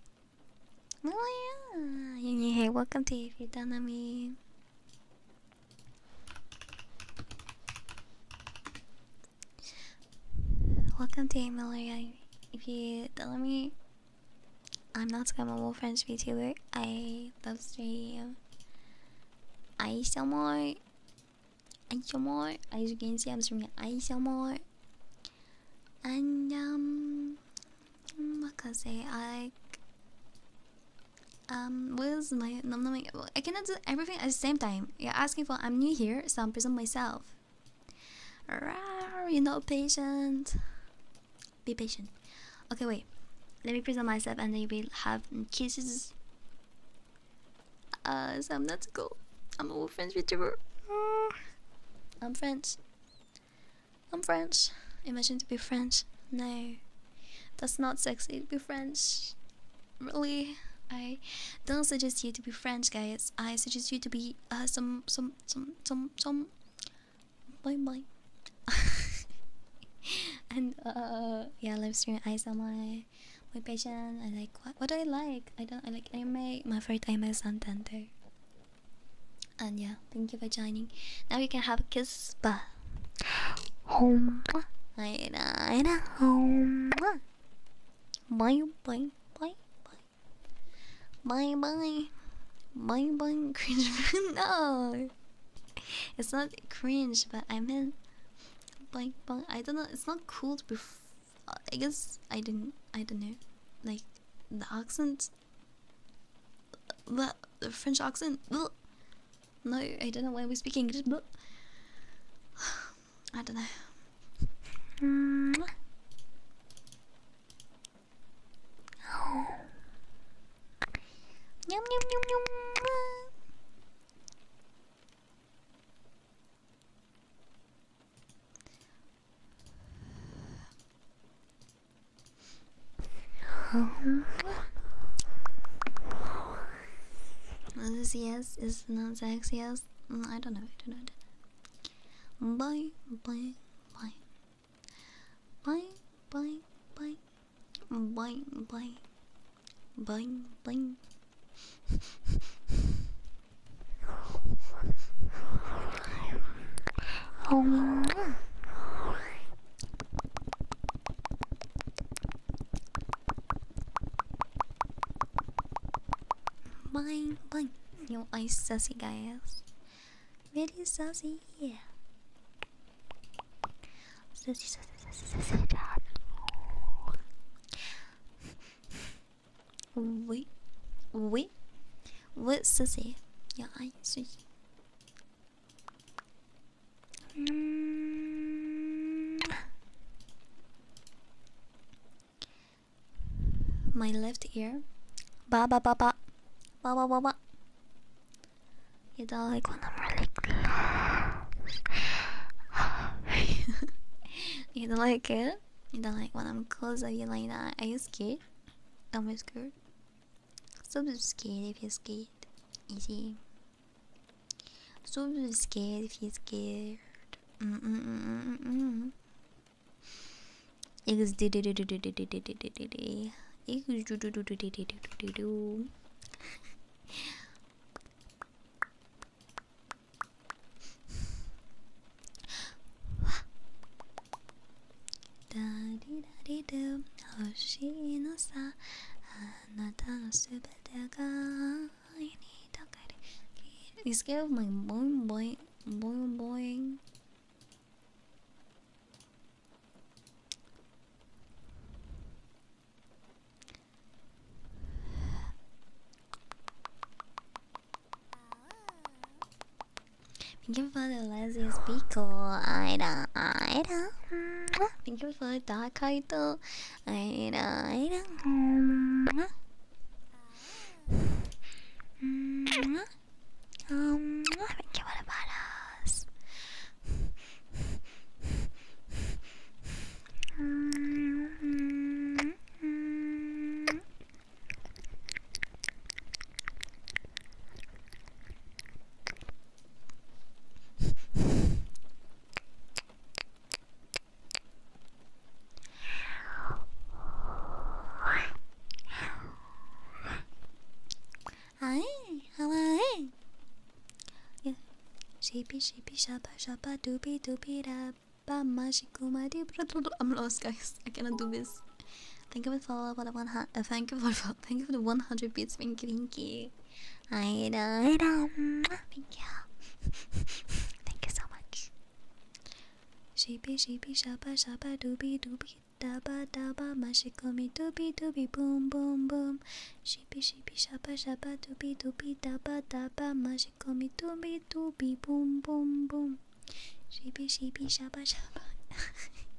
Malaria. Hey, welcome to If You Don't Know Me. Welcome to Amelia. If you tell me I'm not scammable French VTuber, I love stream. I sell more. I sell more. As you can see, I'm streaming I sell more. And um, Makase, I um, where's my number? I cannot do everything at the same time. You're asking for I'm new here, so I'm present myself. Rawr, you're not patient. Be patient. Okay, wait. Let me present myself, and then we will have kisses. Uh, so I'm not to go. I'm a friends with you. I'm French. I'm French. Imagine to be French. No, that's not sexy to be French. Really, I don't suggest you to be French, guys. I suggest you to be uh, some some some some some. Bye bye. <laughs> and uh, yeah, live stream. I saw my my patient. I like what? What do I like? I don't. I like anime. My favorite time is Santander. And yeah, thank you for joining. Now you can have a kiss. Bye. Home. I know, I know. Home. Bye, bye, bye, bye. Bye, bye. Bye, bye. <laughs> Cringe. no. It's not cringe, but I meant. Bye, bye. I don't know. It's not cool to be. I guess I didn't. I don't know. Like, the accent the French accent. No, I don't know why we're speaking. <sighs> I don't know. Um, is this yes? Is not sex yes? Mm, I don't know. I don't know. Bye, bye, bye, bye, bye, bye, bye, bye, bye, bye. um. <laughs> <laughs> Bye, bye. You are sassy, guys. Very sassy, yeah. Sassy, sassy, sassy, sassy, Oui, oui, oui, sassy. You are sassy. Mm. My left ear. Ba ba ba ba. Ba ba ba ba. You don't like when I'm really close. <laughs> you don't like it? You don't like when I'm close at you like that? Are you scared? i Am scared? Subscale if you're scared. Easy. Subscale if you're scared. Mm mm mm mm mm. Da da ダリラリドゥ星のさあなたのすべてが愛に溶かれ It's scared of my boing boing boing boing Thank you for the laziest pickle, Ida, Ida. Thank you for that, Kaito. I don't, I don't.
Um, thank
you for the badass.
Hi, how are you? Yeah. Sheepy, sheepy, shabba, shabba, doopy, doopy, rabba, mashikumadi. I'm lost, guys. I cannot do this. Thank you for following. Thank you for following. Thank you for the 100 bits. Thank you, thank you. I know, Thank you. <laughs> thank you so much. Sheepy, sheepy, shabba, shabba, doobie, doobie, dabba, dabba, mashikomi, doobie, doobie, boom, boom, boom. Sheepy, sheepy, shabba, shabba, doobie, doobie, dabba, dabba, mashikomi, doobie, doobie, boom, boom, boom. Sheepy, sheepy, shabba, shabba. <laughs>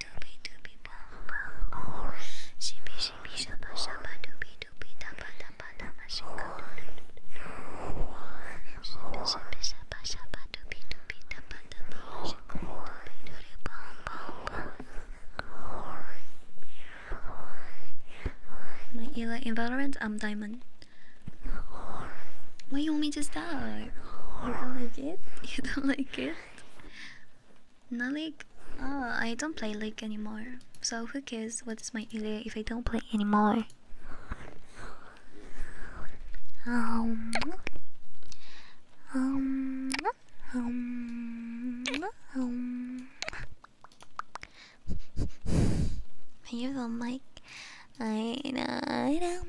doopy doopy
I'm Diamond. Why you want me to stop? You don't like it? <laughs> You don't like it? Not like, Oh, I don't play like anymore. So who cares what is my area if I don't play anymore? Um, um, um, um. Are you the mic? I know.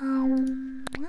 Um, um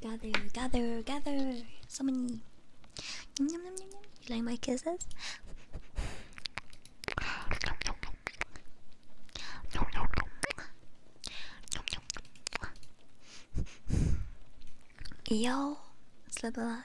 Gather, gather, gather. So many. You like my kisses? Yo, slip a lot.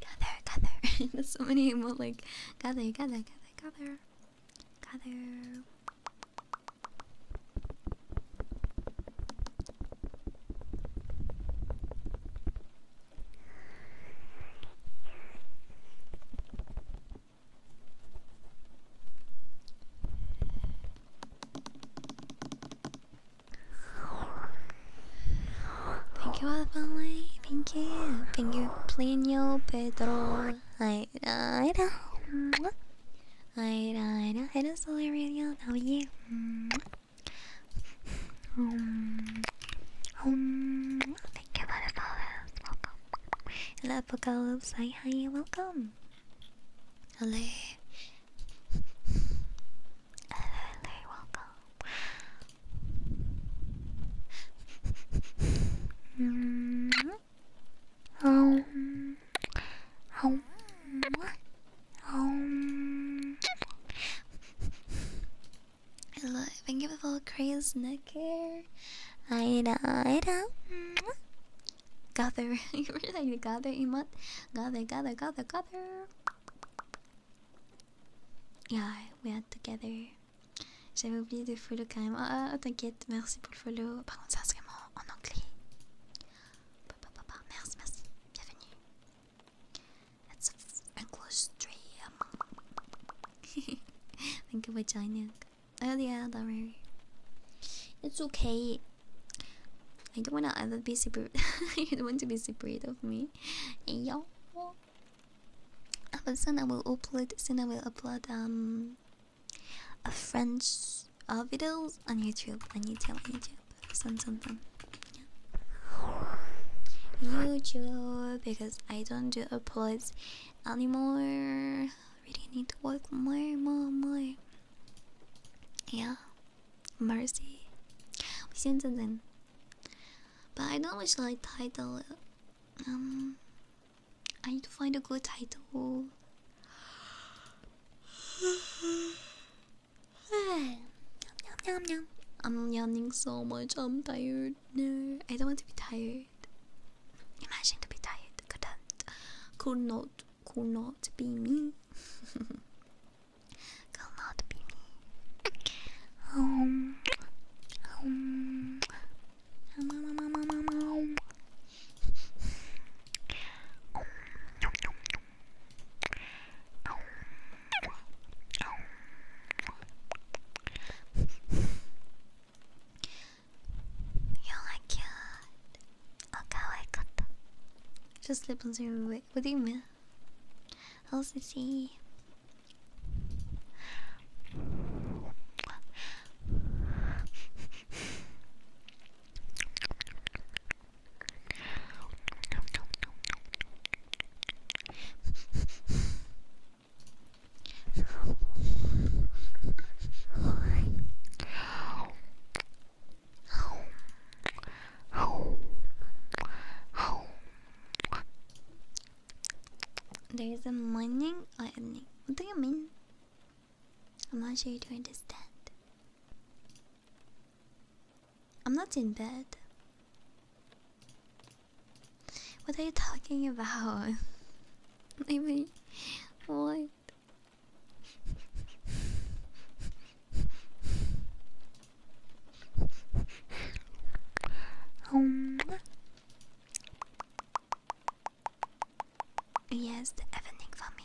Gather, gather. <laughs> There's so many more like gather, gather, gather, gather, gather. Thank you, Advale. Thank you. Thank you, Plinio Pedro. I I know. I know. I know. I know. I know. I know. I know. Um, um, thank you, Butterflowers. Welcome. Hello, Apocalypse. Hi, hi, welcome. Hello. Hello, hello, welcome. Mm
-hmm. Um, um,
um. Hello, thank you for the craze neck hair. I know, I know. Gather, <laughs> you were like gather emote. Gather, gather, gather, gather. Yeah, we are together. J'avais oublié de follow quand même. Ah, oh, t'inquiète, merci pour le follow. Par contre, ça serait en anglais. Merci, merci, bienvenue. That's a close stream. <laughs> Thank you for joining. Oh yeah, that's not It's okay. I don't wanna ever be separate. <laughs> you don't want to be separate of me. Yo. But soon I will upload. Soon I will upload um a French uh, videos on YouTube. On YouTube. On YouTube. Soon, soon, YouTube because I don't do uploads anymore. Really need to work more, more, more. Yeah, mercy. We seen something, but I don't wish like title. Um, I need to find a good title. <sighs> <sighs> <sighs> I'm yawning so much. I'm tired no, I don't want to be tired. Imagine to be tired. Couldn't, could not, be me. <laughs> could not be me.
I
can't. Oh, Just lip zero. Wait, what do you mean? I'll see? you. There's a morning or uh, evening. What do you mean? I'm not sure you do understand. I'm not in bed. What are you talking about? <laughs> Maybe what? <laughs> Um. Yes, the evening for me.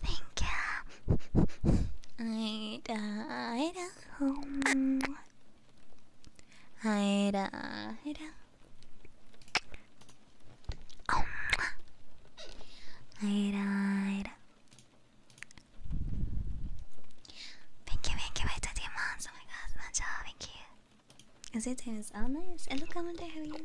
Thank you. I died at home. I died. Thank you, thank you, wait, the demons. Oh my god, Mancha, oh, thank you. Is it tennis? Oh, nice. And look, how I'm are.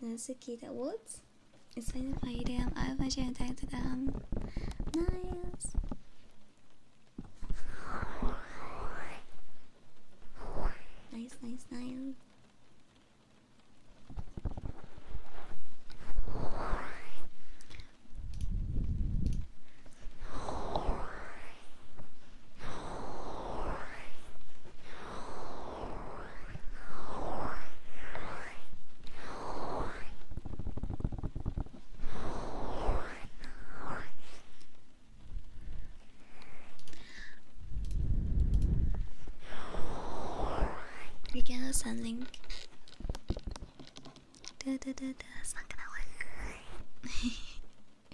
Nazukita Woods? It's been a item. I have a tag to them. Nice. Nice, nice, nice. You're gonna send link. Da, da, da, da. That's not gonna work.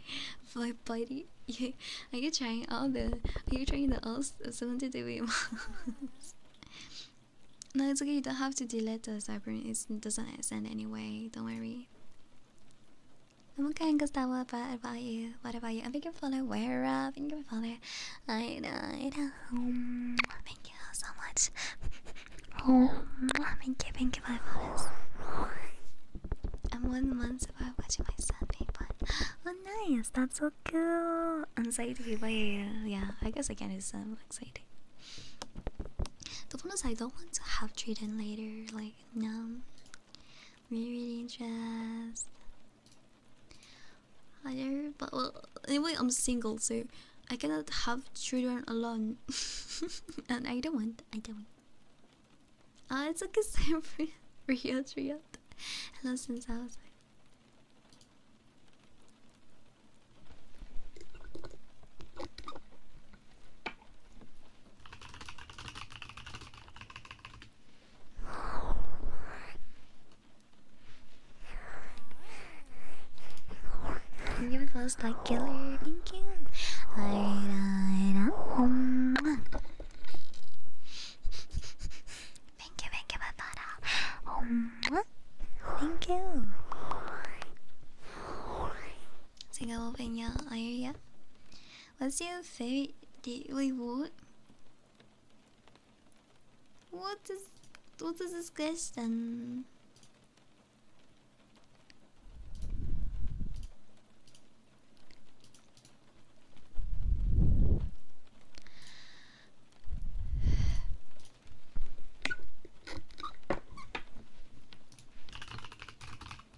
<laughs> For body, you, are you trying all the? Are you trying the all seventy degree <laughs> models? no, it's okay. You don't have to delete the cyber. It doesn't send anyway. Don't worry. I'm okay, Gustavo, but about you? What about you? I'm thinking for the where uh thank you for the I died um thank you so much. Oh thank you, thank you for this. I'm one month about watching my son be fun. Oh nice, that's so cool. Anxiety, but yeah, I guess I can is um anxiety. The one is I don't want to have treatment later, like no really dressed. Higher, but well, anyway, I'm single, so I cannot have children alone, <laughs> and I don't want. I don't. want. Ah, uh, it's okay, <laughs> same for real, real. Hello, since I was. Give it first like killer, thank you. Thank you, thank you, Batara. Thank you. Sing a little bit, yeah. What's your favorite daily what? What is what is this question?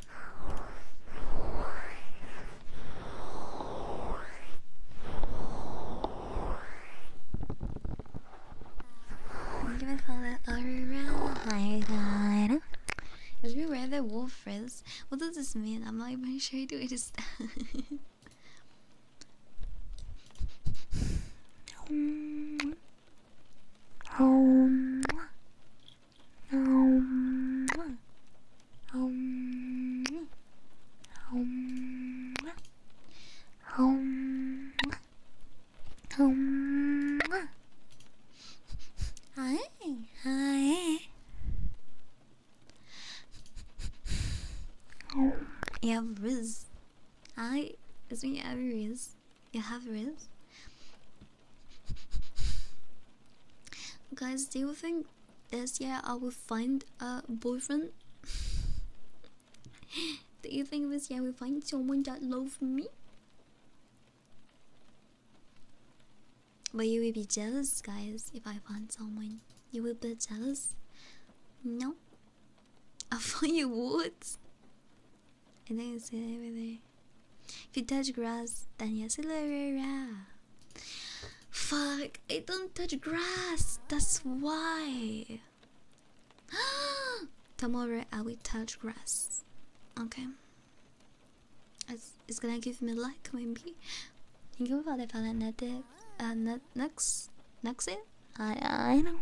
Thank you for that around. My god. Is me where the wolf is? What does this mean? I'm not even sure to understand. <laughs>
Um, um, um, um, um, um, um, hi, hi.
Yeah, Riz. Hi, it's me, Riz. You have Riz? Guys, do you think this year I will find a boyfriend? do you think this year we will find someone that loves me? But you will be jealous, guys, if I find someone. You will be jealous? No? <laughs> I thought you would. I think say anything. If you touch grass, then yes, Fuck, I don't touch grass. That's why. <gasps> Tomorrow I will touch grass. Okay. It's, it's gonna give me like maybe. Thank you for the fanatic. Uh, next, next in? I I know.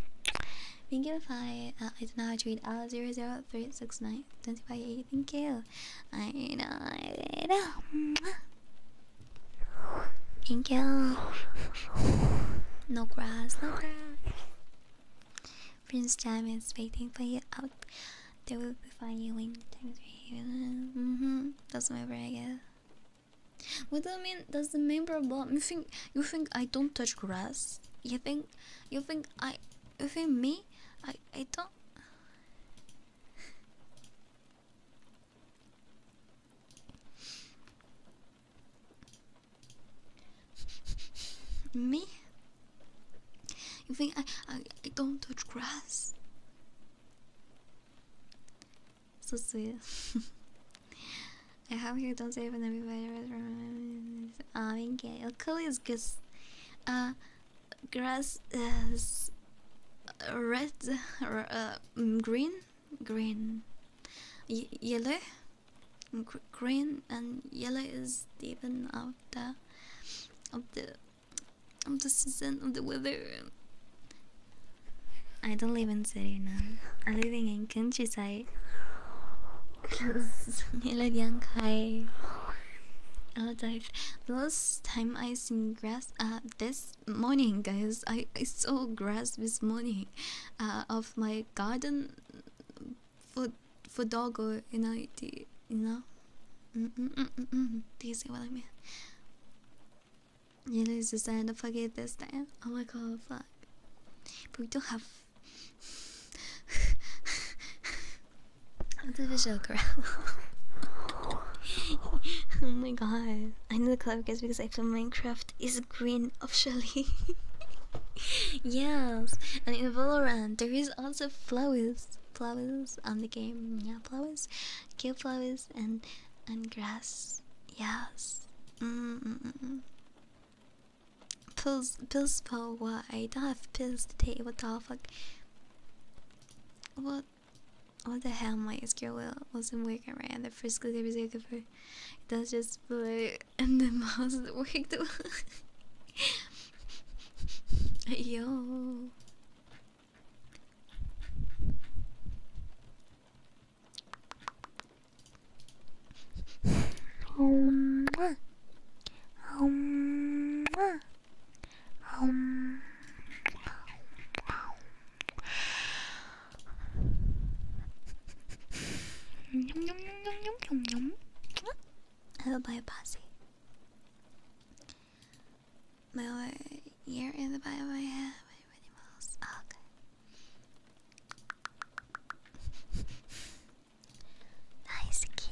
Thank you for uh, I don't know how to read. L zero zero three six nine twenty five eight. Thank you. I know, Thank you. No grass, no grass. Prince Jam is waiting for you out. They will be fine you when times are Mm-hmm. That's my brag. What do you mean? That's the main problem. You think you think I don't touch grass? You think you think I you think me? I I don't. Me? You think I, I I don't touch grass? So sweet. <laughs> I have here. don't say save an everybody. I'm in gay. Well, cool is because, uh, grass is red, um, green, green, yellow, green, and yellow is even after the of the of the season of the weather. I don't live in city now. I'm living in countryside. Hello, <laughs> Dive. The last time I I some grass uh, this morning, guys. I, I saw grass this morning uh, of my garden for for doggo. You know, you know. Mm -mm -mm -mm -mm. Do you see what I mean? You lose this time, don't forget this time. Oh my god, fuck. But we don't have. <laughs> <laughs> That's a visual <laughs> oh my god. I know the clever because I feel Minecraft is green officially. <laughs> yes. And in Valorant there is also flowers. Flowers on the game. Yeah, flowers. Kill flowers and and grass. Yes. Mm -mm Pills pills for what? I don't have pills to take. what the fuck? What what the hell, my SQL wasn't working right at the first click every second it does just blow, and the mouse is working too.
um,
um,
Hello, by a posse. My ear in the back of my head. nice key.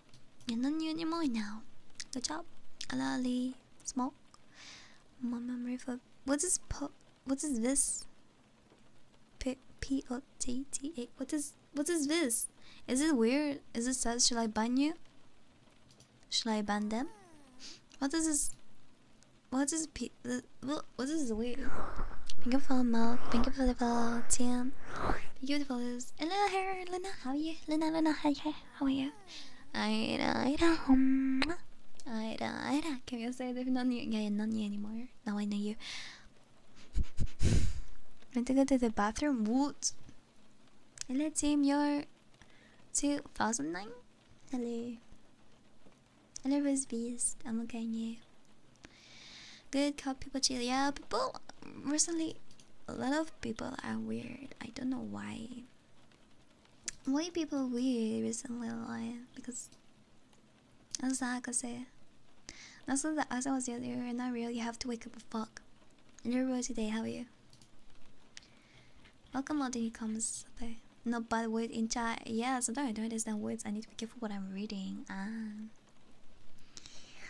You're not new anymore now. Good job. Alali. Smoke. My memory for what is po what is this? P P O T T A. What is what is this? Is it weird? Is it sad? should I ban you? Should I ban them? What is this? What is P? The, what, what is weird? Thank you for the milk. Thank you for the tin. Beautiful is Lena here. Lena, how are you? Lena, Lena, hi, hi. How are you? Um, Can you say there's not you? Yeah, not you anymore. Now I know you. Meant <laughs> to go to the bathroom. What? Hello, team. You're 2009? Hello. Hello, Rose Beast. I'm looking at you. Good, call people chill. Yeah, people recently a lot of people are weird. I don't know why. Why people weird recently? Like because, as I could say, that's the as I was the You're not real. You have to wake up. Fuck. You're real today. How are you? Welcome, all the comes today. No bad word in chat. Yeah, sometimes I don't understand words. I need to be careful what I'm reading. Ah.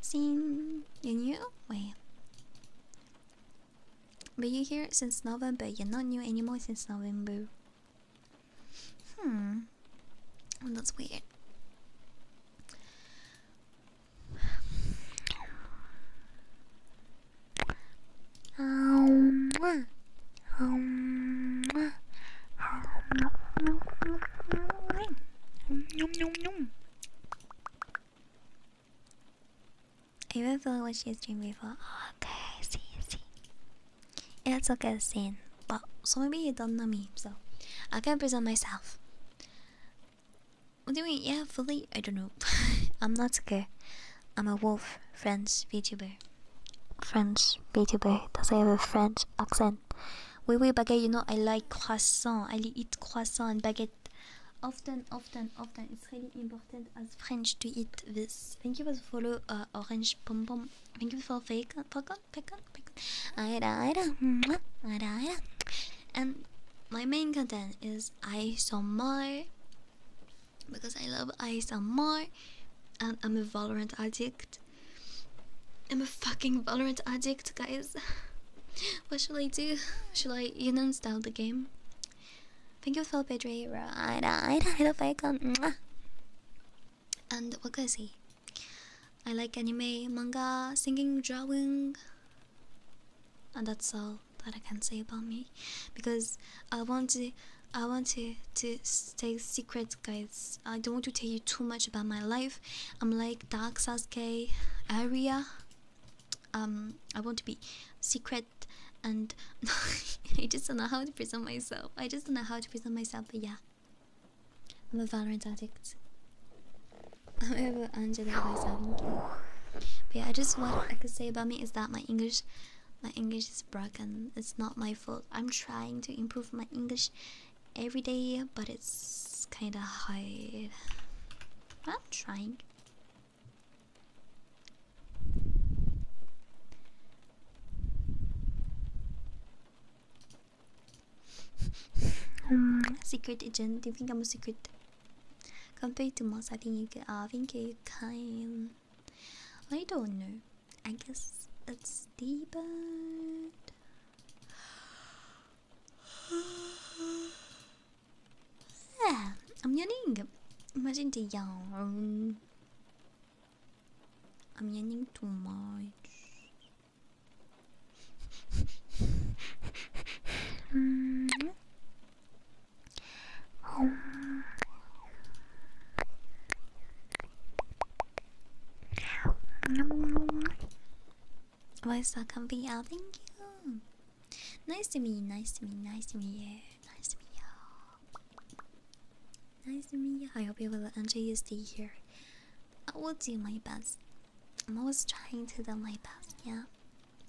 seen you knew? Wait. But you here since November, you're not new anymore since November. Hmm. Oh, that's weird.
Um.
I even feel like what she's dreamed before.
okay, I see, I see.
Yeah, it's okay, Sin. But so maybe you don't know me, so I can present myself. What do you mean? Yeah, fully. I don't know. <laughs> I'm not scared. I'm a wolf. French VTuber. French VTuber. Does I have a French accent? croissant. Oui, baguette, you know, I like croissant. I eat croissant and baguette often, often, often. It's really important as French to eat this. Thank you for the follow, uh, Orange Pom Pom. Thank you for Falcon, Falcon, Falcon, Falcon. And my main content is more because I love ASMR and I'm a Valorant addict I'm a fucking violent addict, guys. <laughs> What should I do? Should I you know style the game? Thank you, Phil Pedri. Right, right, <laughs> hello, welcome. And what can I say? I like anime, manga, singing, drawing, and that's all that I can say about me, because I want to, I want to to stay secret, guys. I don't want to tell you too much about my life. I'm like. Dark Sasuke area. Um, I want to be secret and <laughs> I just don't know how to present myself. I just don't know how to present myself, but yeah. I'm a Valorant addict. However, <laughs> am ever angelic myself. But yeah, I just what I could say about me is that my English my English is broken. It's not my fault. I'm trying to improve my English every day, but it's kind of hard. I'm trying. <laughs> secret agent? Do you think I'm a secret? Compared to most, I think I think I can. I don't know. I guess it's deeper. Ah, I'm yawning. Imagine the I'm yawning too much. <laughs> Voice welcome VR, thank you. Nice to meet you, nice to meet you, nice to meet you, nice to meet you. Nice to meet you. I hope you will enjoy your stay here. I will do my best. I'm always trying to do my best, yeah.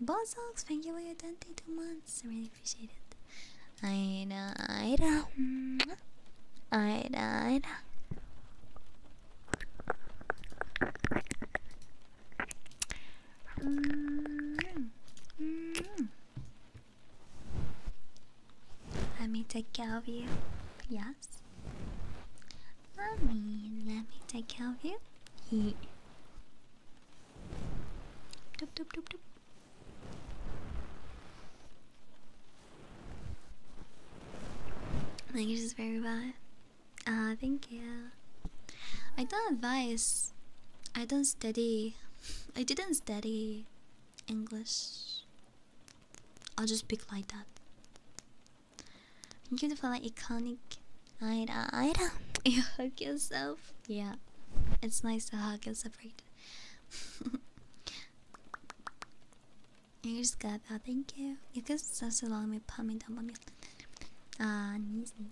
Bozox, thank you for your 22 months. I really appreciate it. I know, I know. I know, I know.
Mm-hmm.
Let me take care of you. Yes. Mommy, let me take care of you. Yeah. Doop, doop, doop, Thank you, just very bad. Ah, thank you. I don't advise. I don't study. I didn't study English. I'll just speak like that. Beautiful, like, iconic. Ida, ah, Ida. <laughs> You hug yourself. Yeah, it's nice to hug yourself, separate. <laughs> Here's good. Oh, thank you. You can just allow me put me down on me. Ah, knees, knees.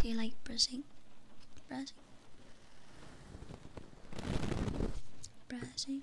Do you like brushing? Brushing? Brushing?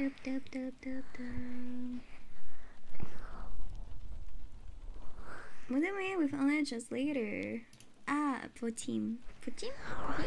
Dub, dub, dub, dub, dub. By the way, with only just later. Ah, Potim. Potim? Okay.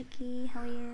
Nike, how are you?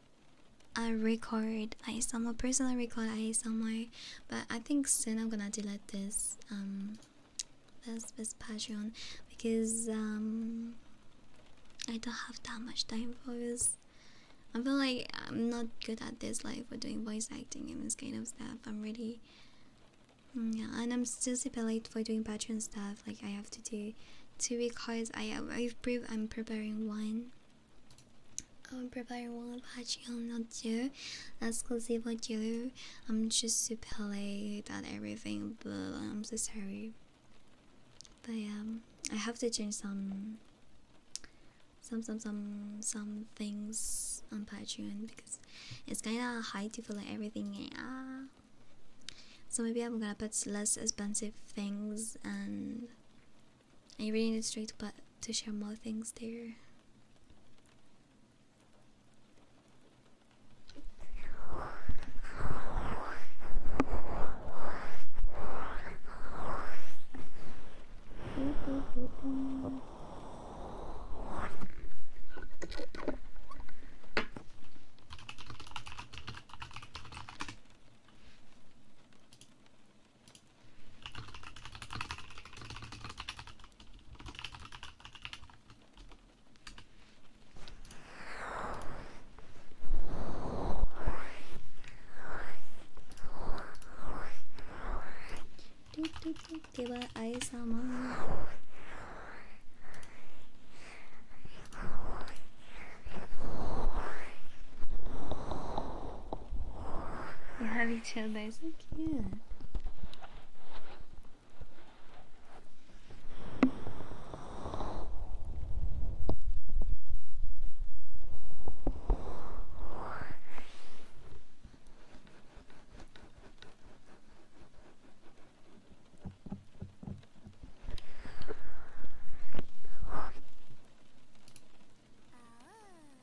I record I somewhere personal record I somewhere but I think soon I'm gonna delete this um this this Patreon because um I don't have that much time for this. I feel like I'm not good at this like for doing voice acting and this kind of stuff. I'm really mm, yeah, and I'm still super late for doing Patreon stuff. Like I have to do two because I I've pre I'm preparing one I'm preparing one patch on the deal, exclusive deal. I'm just super pale about everything, but I'm so sorry. But um, I have to change some, some, some, some, some things on Patreon because it's kinda hard to fill like everything. Ah, so maybe I'm gonna put less expensive things and you really need straight to, to share more things there. ではあゆさま We're having other, so cute.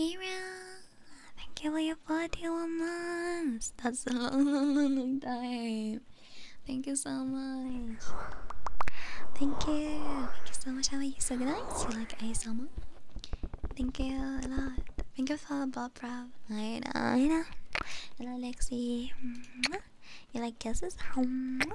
Ira, thank you for your 41 months. That's a long, long time. Thank you so much. Thank you. Thank you so much. How are you? So good night. You like ASMR? Thank you a lot. Thank you for Bob Rob. I know, I know. Hello, Lexi. You like guesses? Thank you.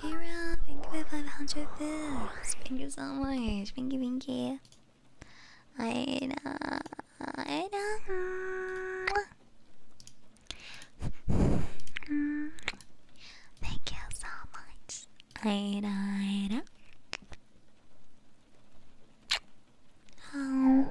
Hey Rob, thank you for 500 bits. Thank you so much. Thank you, thank you. I know. I Thank you so much. I know. Oh.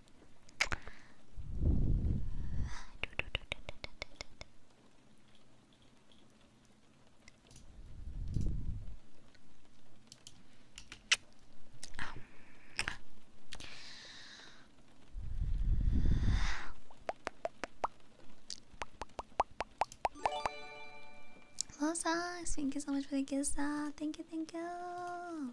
Rosa, thank you so much for the gift. Uh, thank you, thank you.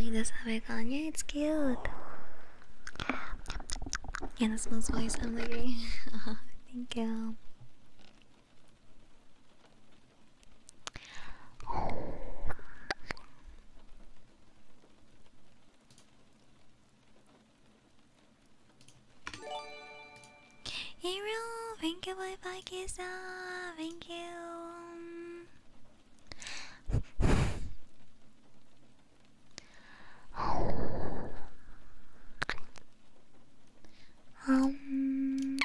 Like this, have I gone? Yeah, it's cute. Yeah, that smells nice, I'm lady. <laughs> Uh, thank you. Hey, thank you, bye bye, Kisa. Thank you. <laughs>
Um,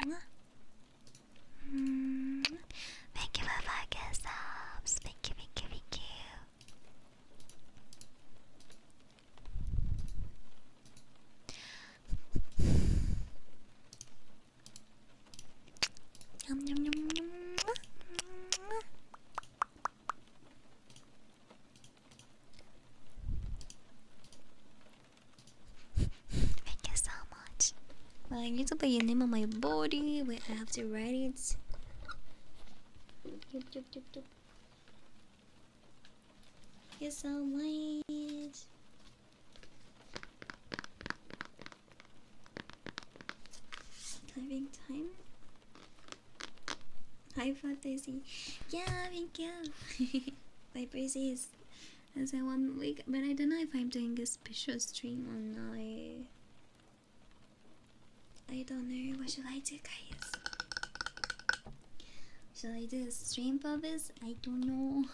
mm, thank you for the like subs. Thank you, thank you, thank you. Yum, yum, yum, yum. Thank you so much. Well, I need to put your name on my body. Wait, I have to write it. Yup, yup, yup, yup. Thank you so much. Typing time. Hi, fantasy. Yeah, thank you. <laughs> My praises. I said one week, but I don't know if I'm doing a special stream or not. I don't know. What should I do, guys? Should I do a stream for this? I don't know.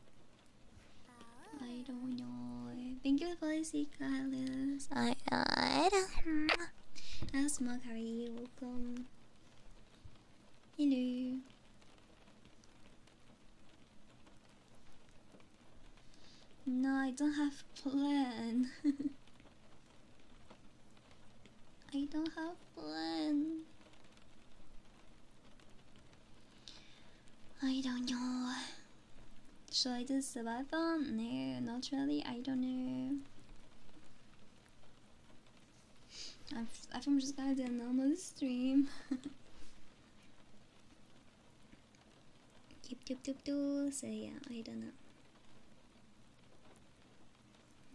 <laughs> I don't know. Thank you for the secret. I, I don't know. Ah! How's Mug? How are you? Welcome. Hello. No, I don't have plan. <laughs> I don't have plan. I don't know. Should I do survival? No, not really. I don't know. I I think I'm just gonna do a normal stream. Keep doop doop do. So yeah, I don't know.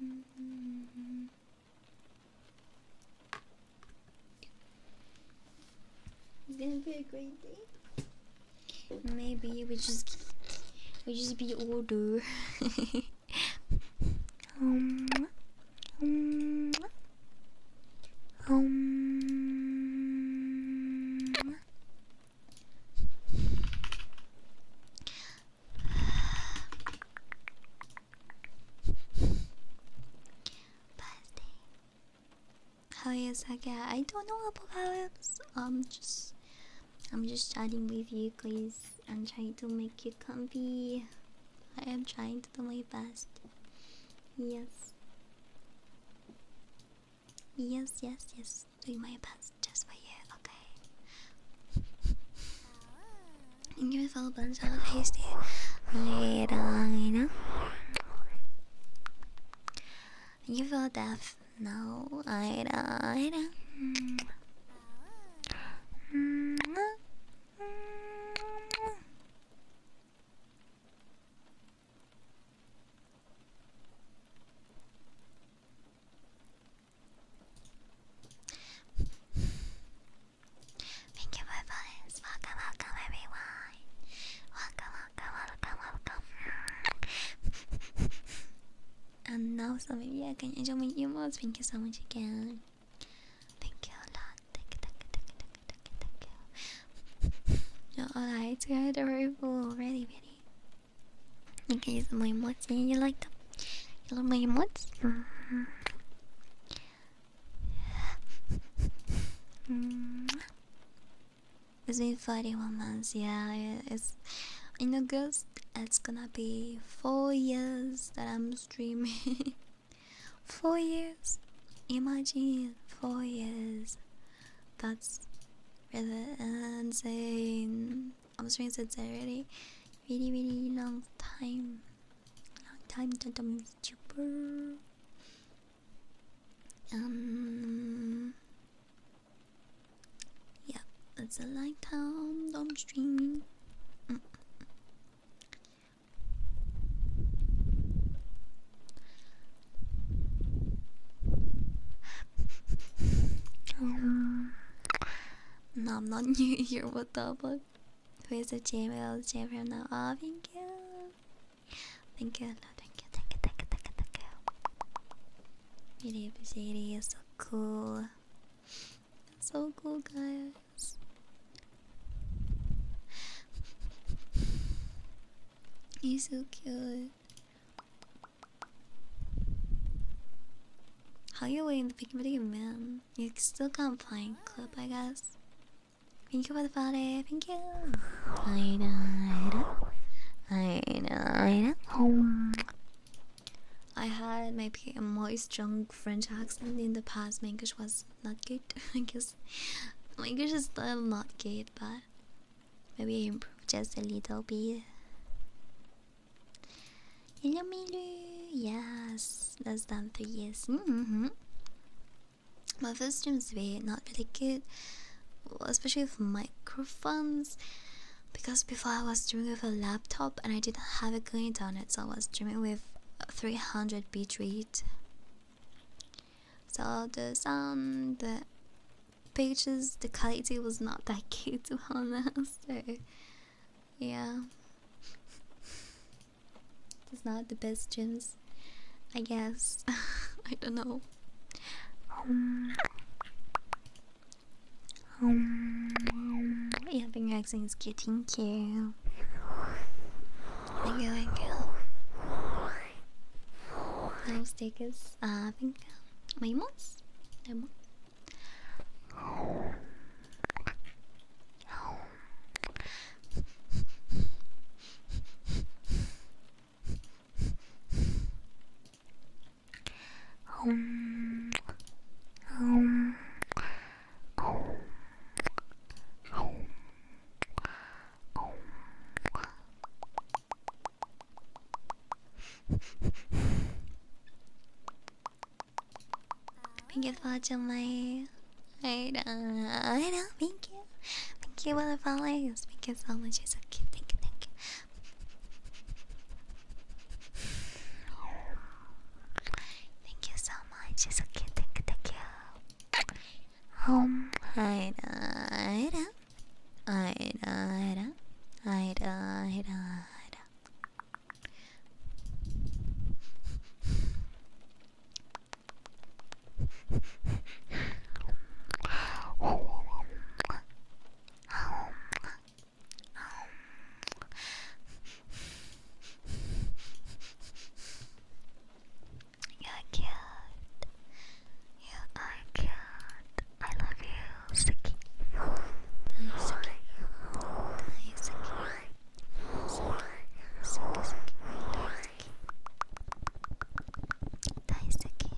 Mm-hmm. It's gonna be a great day. Maybe we just we just be older. <laughs> um, um,
um.
Birthday. How is Aga? I don't know about how it's um just I'm just chatting with you guys. I'm trying to make you comfy. I am trying to do my best. Yes. Yes, yes, yes. Do my best just for you, okay? <laughs> You give me Beautiful bunch of tasty. Later, you know? You feel deaf? No, I don't. Thank you for following. Welcome, welcome everyone. Welcome, welcome, welcome, welcome. <laughs> And now, some maybe I can enjoy my emotes. Thank you so much again. Thank you a lot. Thank you, thank you, thank you, thank you, thank you. no, <laughs> alright, we are very full. Ready, ready. You can use my emotes. Yeah, you like them? You love my emotes? <laughs> Mm -hmm. It's been 41 months, yeah. It's in August, it's gonna be 4 years that I'm streaming. <laughs> 4 years? Imagine 4 years. That's really insane. I'm streaming since a really, really, really long time. Long time that I'm YouTuber. Um, yeah, it's a light dumb I'm um, no, I'm not <laughs> new here. What the fuck? Who is the JML? JML now. Oh, thank you. Thank you. No, Thank you. Thank you. Thank you. Thank you. Beauty Shady is so cool. So cool, guys. He's so cute. How you waiting the picking video, man? You still can't find clip, I guess. Thank you for the party. Thank you. I I know. I know, I know. I had maybe a more strong French accent in the past. My English was not good, <laughs> I guess. My English is still not good, but maybe I improved just a little bit. Hello, Milu. Yes, less than three years. Mm -hmm. My first streams were not really good, especially with microphones because before I was streaming with a laptop and I didn't have a grid on it, so I was streaming with 300 bit rate. So the sound, the pictures, the quality was not that <laughs> good to be honest. So yeah, <laughs> it's not the best gyms, I guess. <laughs> I don't know. Um, your accent is getting cute. Thank you, thank you. Let's take us, I think, Thank you for watching my I know. thank you. Thank you for the follows. Thank you so much. It's okay. Thank you, thank you. Thank you so much. It's okay. Thank you. Thank you. Um, I I I I I I um,
You're cute. You are cute. I love you, Sticky. Sticky. Sticky. Sticky. Sticky. Sticky.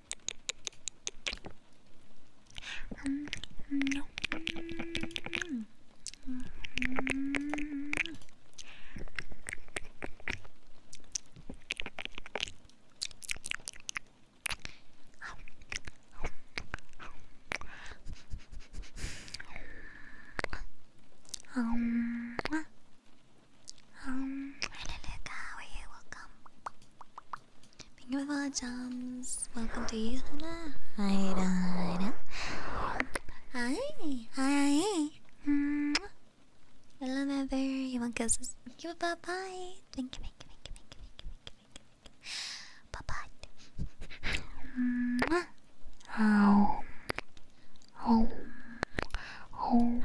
Um, hello,
Luca. How are you? Welcome. Thank you for the jumps. Welcome to you. Hi, hi, hi. I love ever. You want kisses? Thank you. Bye bye. Thank you. Thank you. Thank you. Thank you. Thank you. Thank you. Thank you. Thank you. Bye bye.
How? Home. Home.